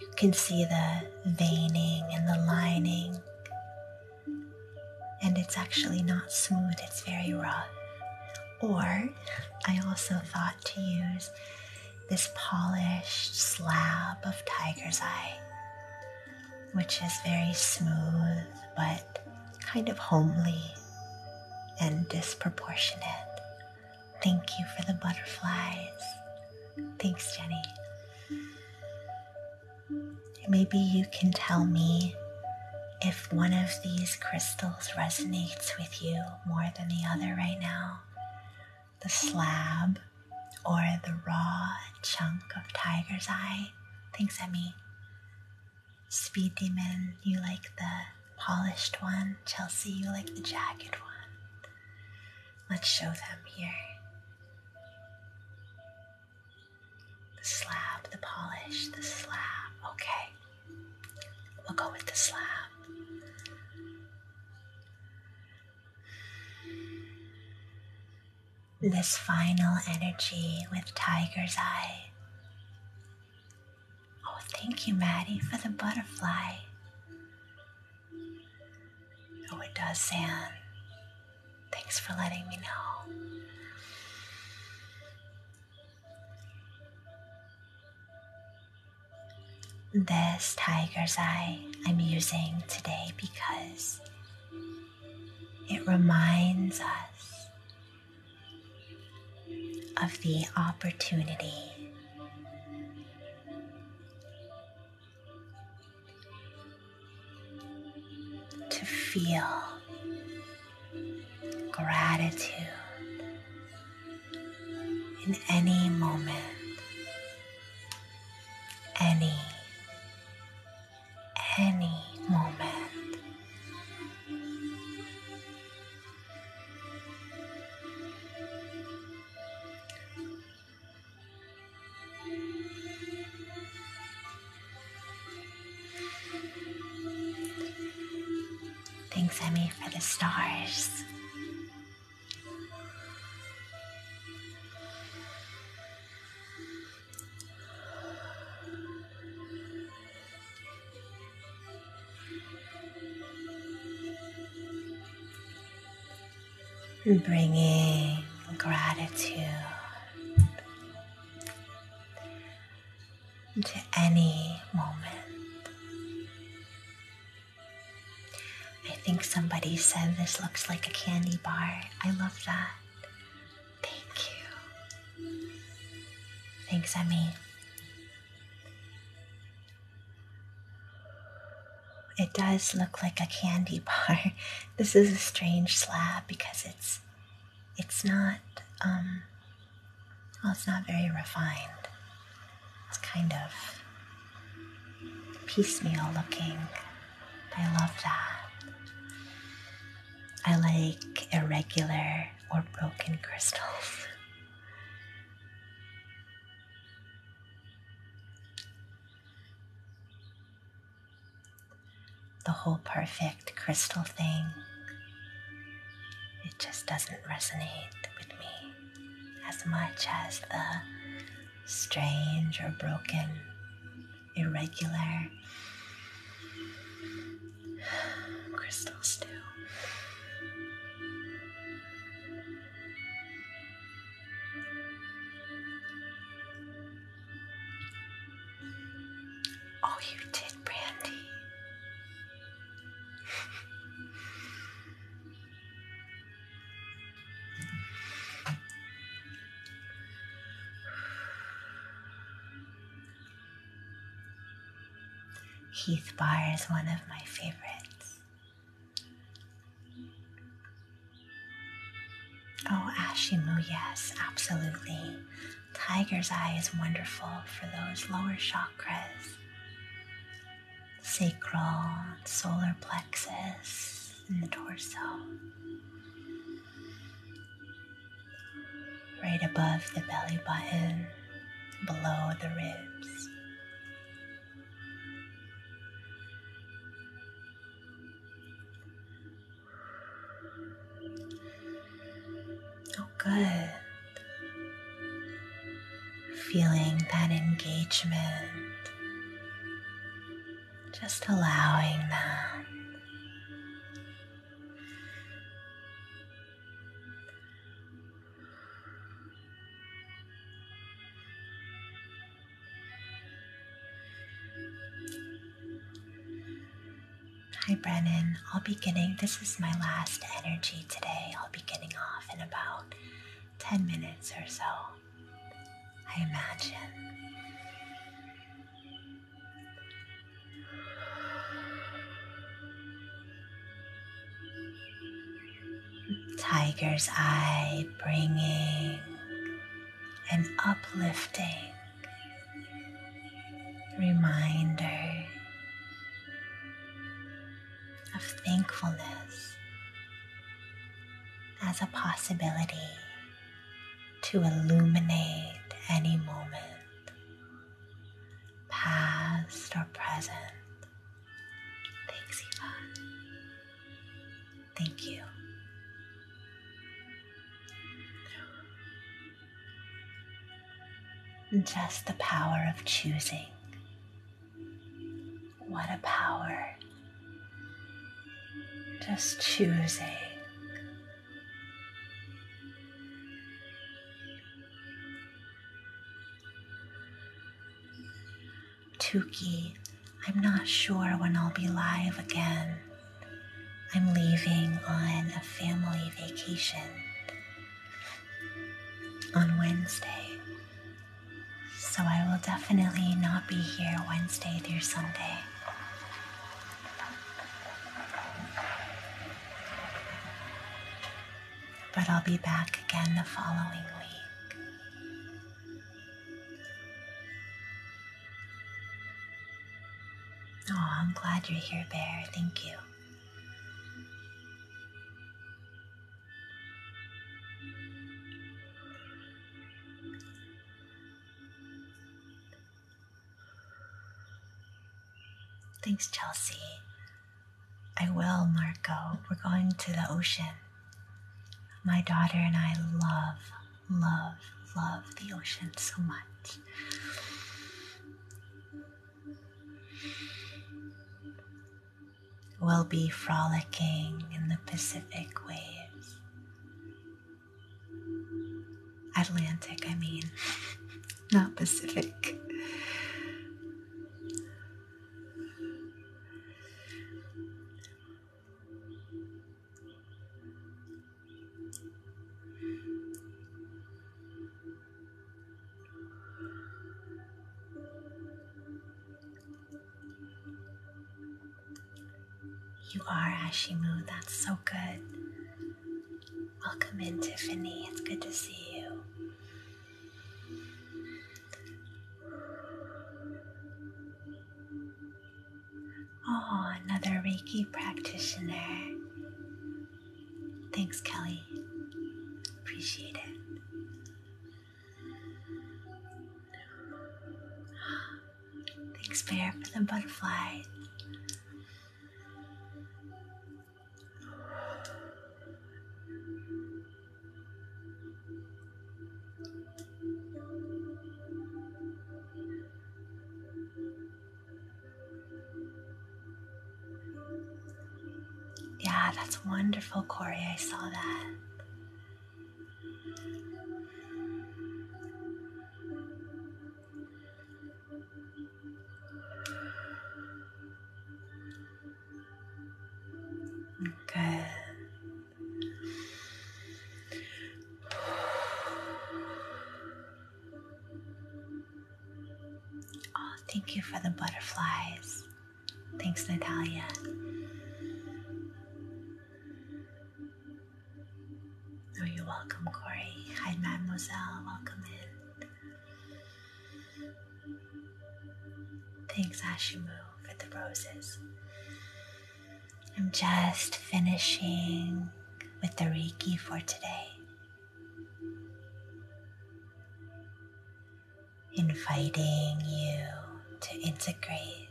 You can see the veining and the lining and it's actually not smooth, it's very rough. Or I also thought to use this polished slab of tiger's eye, which is very smooth but kind of homely and disproportionate. Thank you for the butterflies. Thanks, Jenny. Maybe you can tell me if one of these crystals resonates with you more than the other right now. The slab or the raw chunk of tiger's eye. Thanks, Emmy. Speed Demon, you like the polished one. Chelsea, you like the jagged one. Let's show them here. The slab, the polish, the slab. Okay. We'll go with the slab. This final energy with tiger's eye. Oh, thank you, Maddie, for the butterfly. Oh, it does, San. Thanks for letting me know. This tiger's eye I'm using today because it reminds us of the opportunity to feel gratitude in any moment, any, any moment. Thanks, Emmy, for the stars. Bringing gratitude to any moment. I think somebody said this looks like a candy bar. I love that. Thank you. Thanks, Emmy. It does look like a candy bar. This is a strange slab because it's it's not um well it's not very refined. It's kind of piecemeal looking. I love that. I like irregular or broken crystals the whole perfect crystal thing. It just doesn't resonate with me as much as the strange or broken, irregular crystals do. Oh, you did, Brandy. Heath Bar is one of my favorites. Oh, Ashimu, yes, absolutely. Tiger's eye is wonderful for those lower chakras sacral, solar plexus, and the torso. Right above the belly button, below the ribs. Oh, good. Feeling that engagement, just allowing that. Hi, Brennan. I'll be getting, this is my last energy today. I'll be getting off in about 10 minutes or so, I imagine. Tiger's Eye bringing and uplifting reminder of thankfulness as a possibility to illuminate any moment, past or present. Thanks, Eva. Thank you. Just the power of choosing. What a power. Just choosing. Tuki I'm not sure when I'll be live again. I'm leaving on a family vacation on Wednesday. So I will definitely not be here Wednesday through Sunday. But I'll be back again the following week. Oh, I'm glad you're here, Bear. Thank you. Thanks, Chelsea. I will, Marco. We're going to the ocean. My daughter and I love love, love the ocean so much. We'll be frolicking in the Pacific waves. Atlantic, I mean, not Pacific. You are Ashimu, that's so good. Welcome in, Tiffany. It's good to see you. Oh, another Reiki practitioner. Thanks, Kelly. Appreciate it. Thanks, Bear, for the butterfly. Yeah, that's wonderful, Corey. I saw that. Good. Oh, thank you for the butterflies. Thanks, Natalia. Oh, you're welcome, Corey. Hi, Mademoiselle. Welcome in. Thanks, Ashimu, for the roses. I'm just finishing with the Reiki for today. Inviting you to integrate,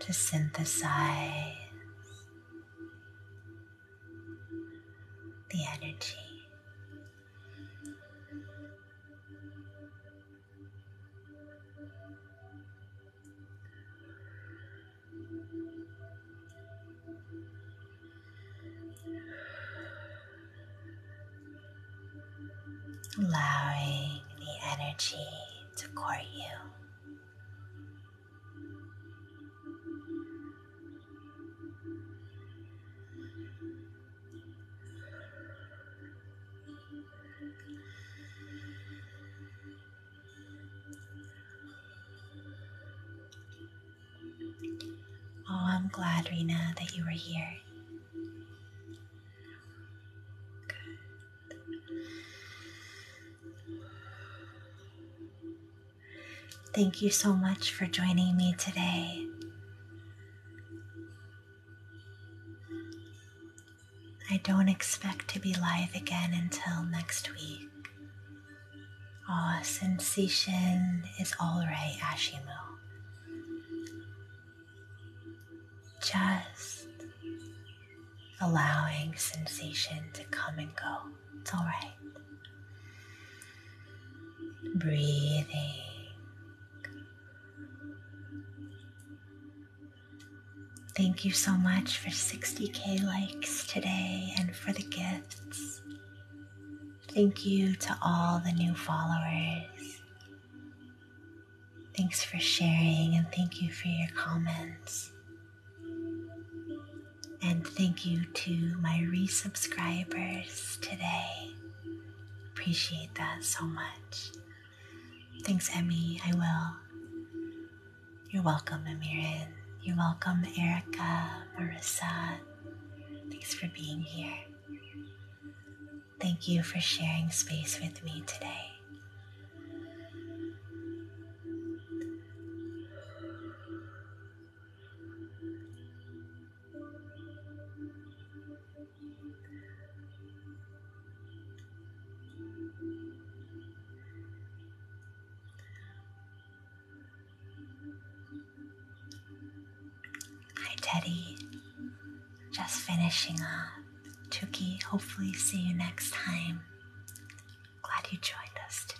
to synthesize the energy allowing the energy to court you. Oh, I'm glad, Rena, that you were here. Thank you so much for joining me today. I don't expect to be live again until next week. Ah, sensation is alright, Ashimo. Just allowing sensation to come and go. It's alright. Breathing. Thank you so much for 60k likes today and for the gifts. Thank you to all the new followers. Thanks for sharing and thank you for your comments. And thank you to my resubscribers today. Appreciate that so much. Thanks, Emmy. I will. You're welcome, Amirin. You're welcome, Erica, Marissa. Thanks for being here. Thank you for sharing space with me today. Hi, Teddy. Just finishing up. Tuki, hopefully, see you next time. Glad you joined us today.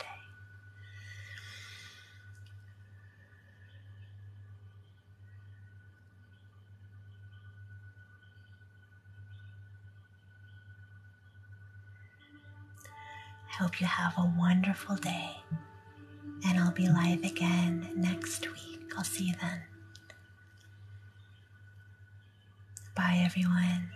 I hope you have a wonderful day, and I'll be live again next week. I'll see you then. Bye, everyone.